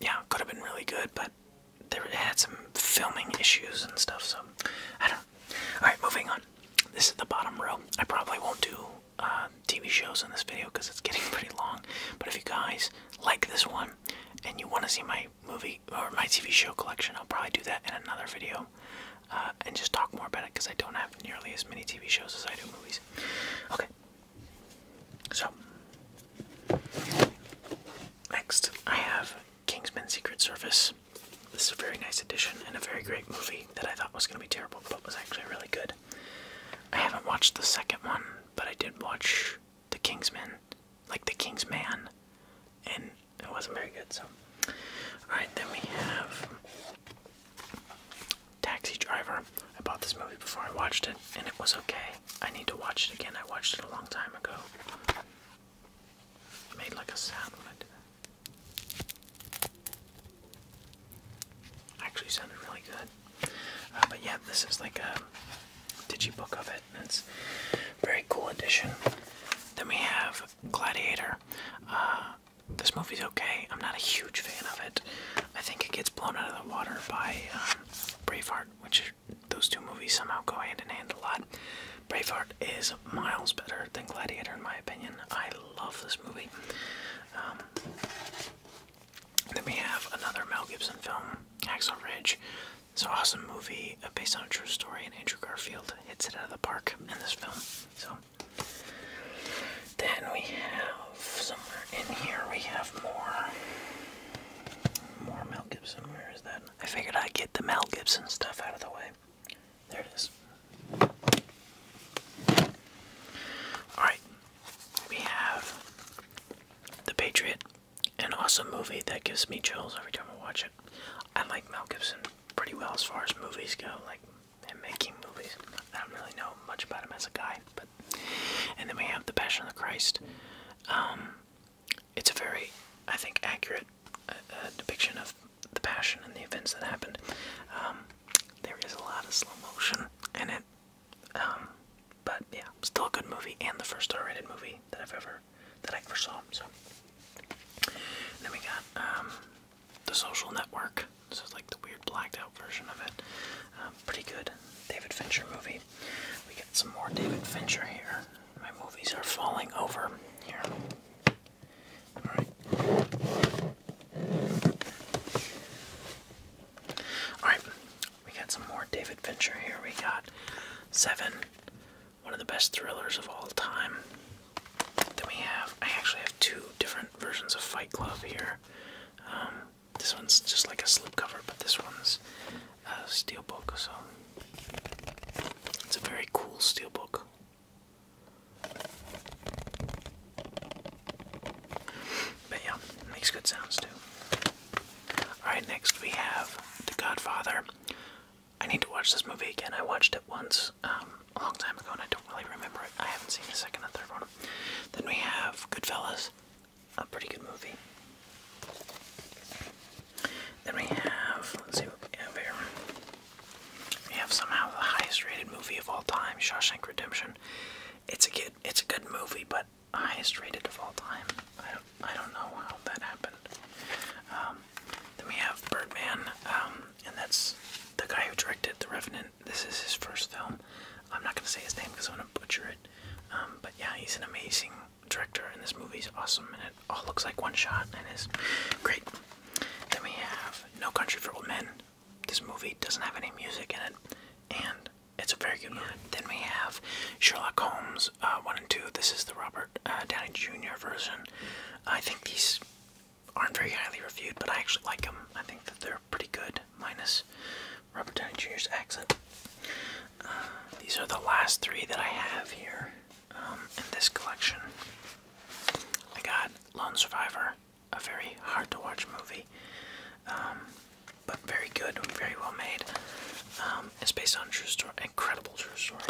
yeah, could have been really good, but there had some filming issues and stuff, so I don't. Alright, moving on. This is the bottom row. I probably won't do um, TV shows in this video because it's getting pretty long. But if you guys like this one and you want to see my movie or my TV show collection, I'll probably do that in another video uh, and just talk more about it because I don't have nearly as many TV shows as I do movies. Okay. So, next I have Kingsman Secret Service. This is a very nice edition and a very great movie that I thought was going to be terrible but was actually really good. I haven't watched the second one, but I did watch The Kingsman, like The King's Man, and it wasn't very good, so. Alright, then we have Taxi Driver. I bought this movie before I watched it, and it was okay. I need to watch it again. I watched it a long time ago. made like a sound when I did that. Actually sounded really good. Uh, but yeah, this is like a digi book of it. And it's very cool edition. Then we have Gladiator. Uh, this movie's okay. I'm not a huge fan of it. I think it gets blown out of the water by um, Braveheart, which those two movies somehow go hand in hand a lot. Braveheart is miles better than Gladiator, in my opinion. I love this movie. Um, then we have another Mel Gibson film, Axel Ridge. It's an awesome movie uh, based on a true story, and Andrew Garfield hits it out of the park in this film. So then we have somewhere in here we have more more Mel Gibson. Where is that? I figured I'd get the Mel Gibson stuff out of the way. There it is. Alright, we have The Patriot, an awesome movie that gives me chills every time I watch it. I like Mel Gibson pretty well as far as movies go, like him making movies. I don't really know much about him as a guy, but. And then we have The Passion of the Christ. Um, it's a very, I think, accurate uh, uh, depiction of the passion and the events that happened. Um, there is a lot of slow motion in it, um, but yeah, still a good movie and the first R-rated movie that I've ever that I ever saw. So then we got um, the Social Network. This is like the weird blacked out version of it. pretty good David Fincher movie. We got some more David Fincher here. My movies are falling over here. All right. All right. We got some more David Fincher here. We got Seven, one of the best thrillers of all time. Then we have, I actually have two different versions of Fight Club here. Um, this one's just like a slipcover, but this one's a steelbook, so it's a very cool steelbook. But yeah, makes good sounds too. Alright, next we have The Godfather. I need to watch this movie again. I watched it once um, a long time ago and I don't really remember it. I haven't seen the second and third one. Then we have Goodfellas, a pretty good movie. Then we have, let's see what we have here. We have somehow the highest rated movie of all time, Shawshank Redemption. It's a good, it's a good movie, but highest rated of all time. I don't, I don't know how that happened. Um, then we have Birdman, um, and that's the guy who directed The Revenant. This is his first film. I'm not gonna say his name because i want to butcher it. Um, but yeah, he's an amazing director, and this movie is awesome, and it all looks like one shot, and is great. Then we have No Country for Old Men, this movie doesn't have any music in it, and it's a very good movie. Then we have Sherlock Holmes uh, 1 and 2. This is the Robert uh, Downey Jr. version. I think these aren't very highly reviewed, but I actually like them. I think that they're pretty good, minus Robert Downey Jr.'s accent. Uh, these are the last three that I have here um, in this collection. I got Lone Survivor, a very hard to watch movie, um, but very good, very well made. Um, it's based on true story, incredible true story.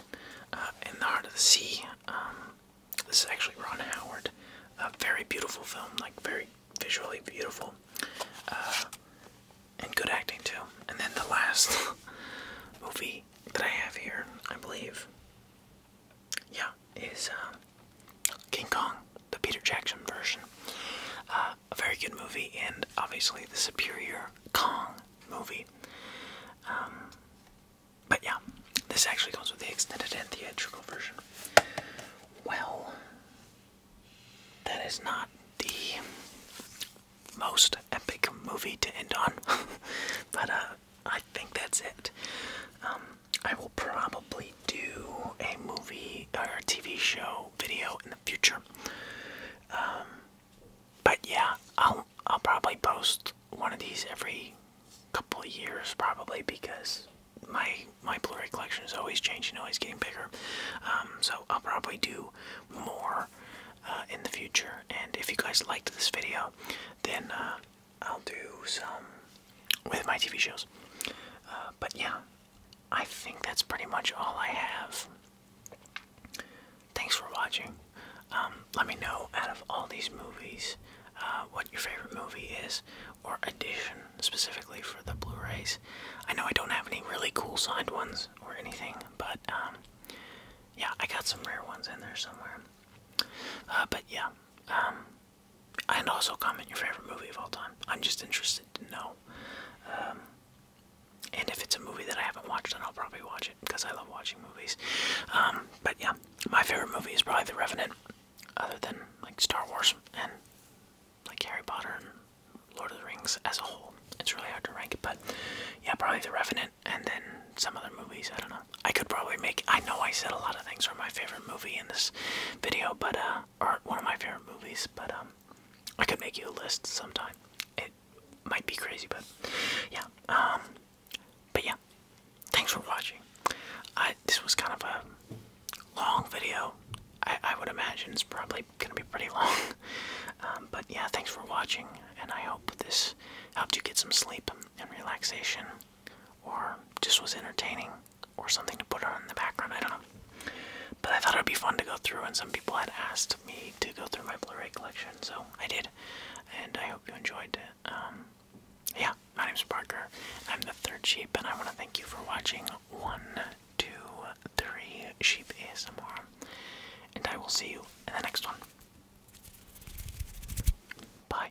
Uh, in the heart of the sea. Um, this is actually Ron Howard. A very beautiful film, like very visually beautiful, uh, and good acting too. And then the last movie that I have here, I believe, yeah, is um, King Kong, the Peter Jackson version. Uh, a very good movie, and obviously the superior Kong movie. Um, but yeah, this actually comes with the extended and theatrical version. Well, that is not the most epic movie to end on, but uh, I think that's it. Um, I will probably do a movie or a TV show video in the future. Um, but yeah, I'll I'll probably post one of these every couple of years, probably because my my Blu-ray collection is always changing, always getting bigger. Um, so I'll probably do more uh, in the future. And if you guys liked this video, then uh, I'll do some with my TV shows. Uh, but yeah, I think that's pretty much all I have. Thanks for watching. Um, let me know out of all these movies uh, what your favorite movie is or edition specifically for the Blu-rays. I know I don't have any really cool signed ones or anything, but um, yeah, I got some rare ones in there somewhere. Uh, but yeah, um, and also comment your favorite movie of all time. I'm just interested to know. Um, and if it's a movie that I haven't watched, then I'll probably watch it because I love watching movies. Um, but yeah, my favorite movie is probably The Revenant, other than like Star Wars and like Harry Potter and Lord of the Rings as a whole. It's really hard to rank it, but yeah, probably The Revenant and then some other movies. I don't know. I could probably make. I know I said a lot of things are my favorite movie in this video, but uh, or one of my favorite movies, but um, I could make you a list sometime. It might be crazy, but yeah. Um, but yeah, thanks for watching. I this was kind of a long video. I I would imagine it's probably gonna be pretty long. Um, but yeah, thanks for watching, and I hope this helped you get some sleep and relaxation or just was entertaining or something to put on in the background. I don't know. But I thought it would be fun to go through, and some people had asked me to go through my Blu ray collection, so I did. And I hope you enjoyed it. Um, yeah, my name is Parker. I'm the third sheep, and I want to thank you for watching one, two, three sheep is ASMR. And I will see you in the next one. Bye.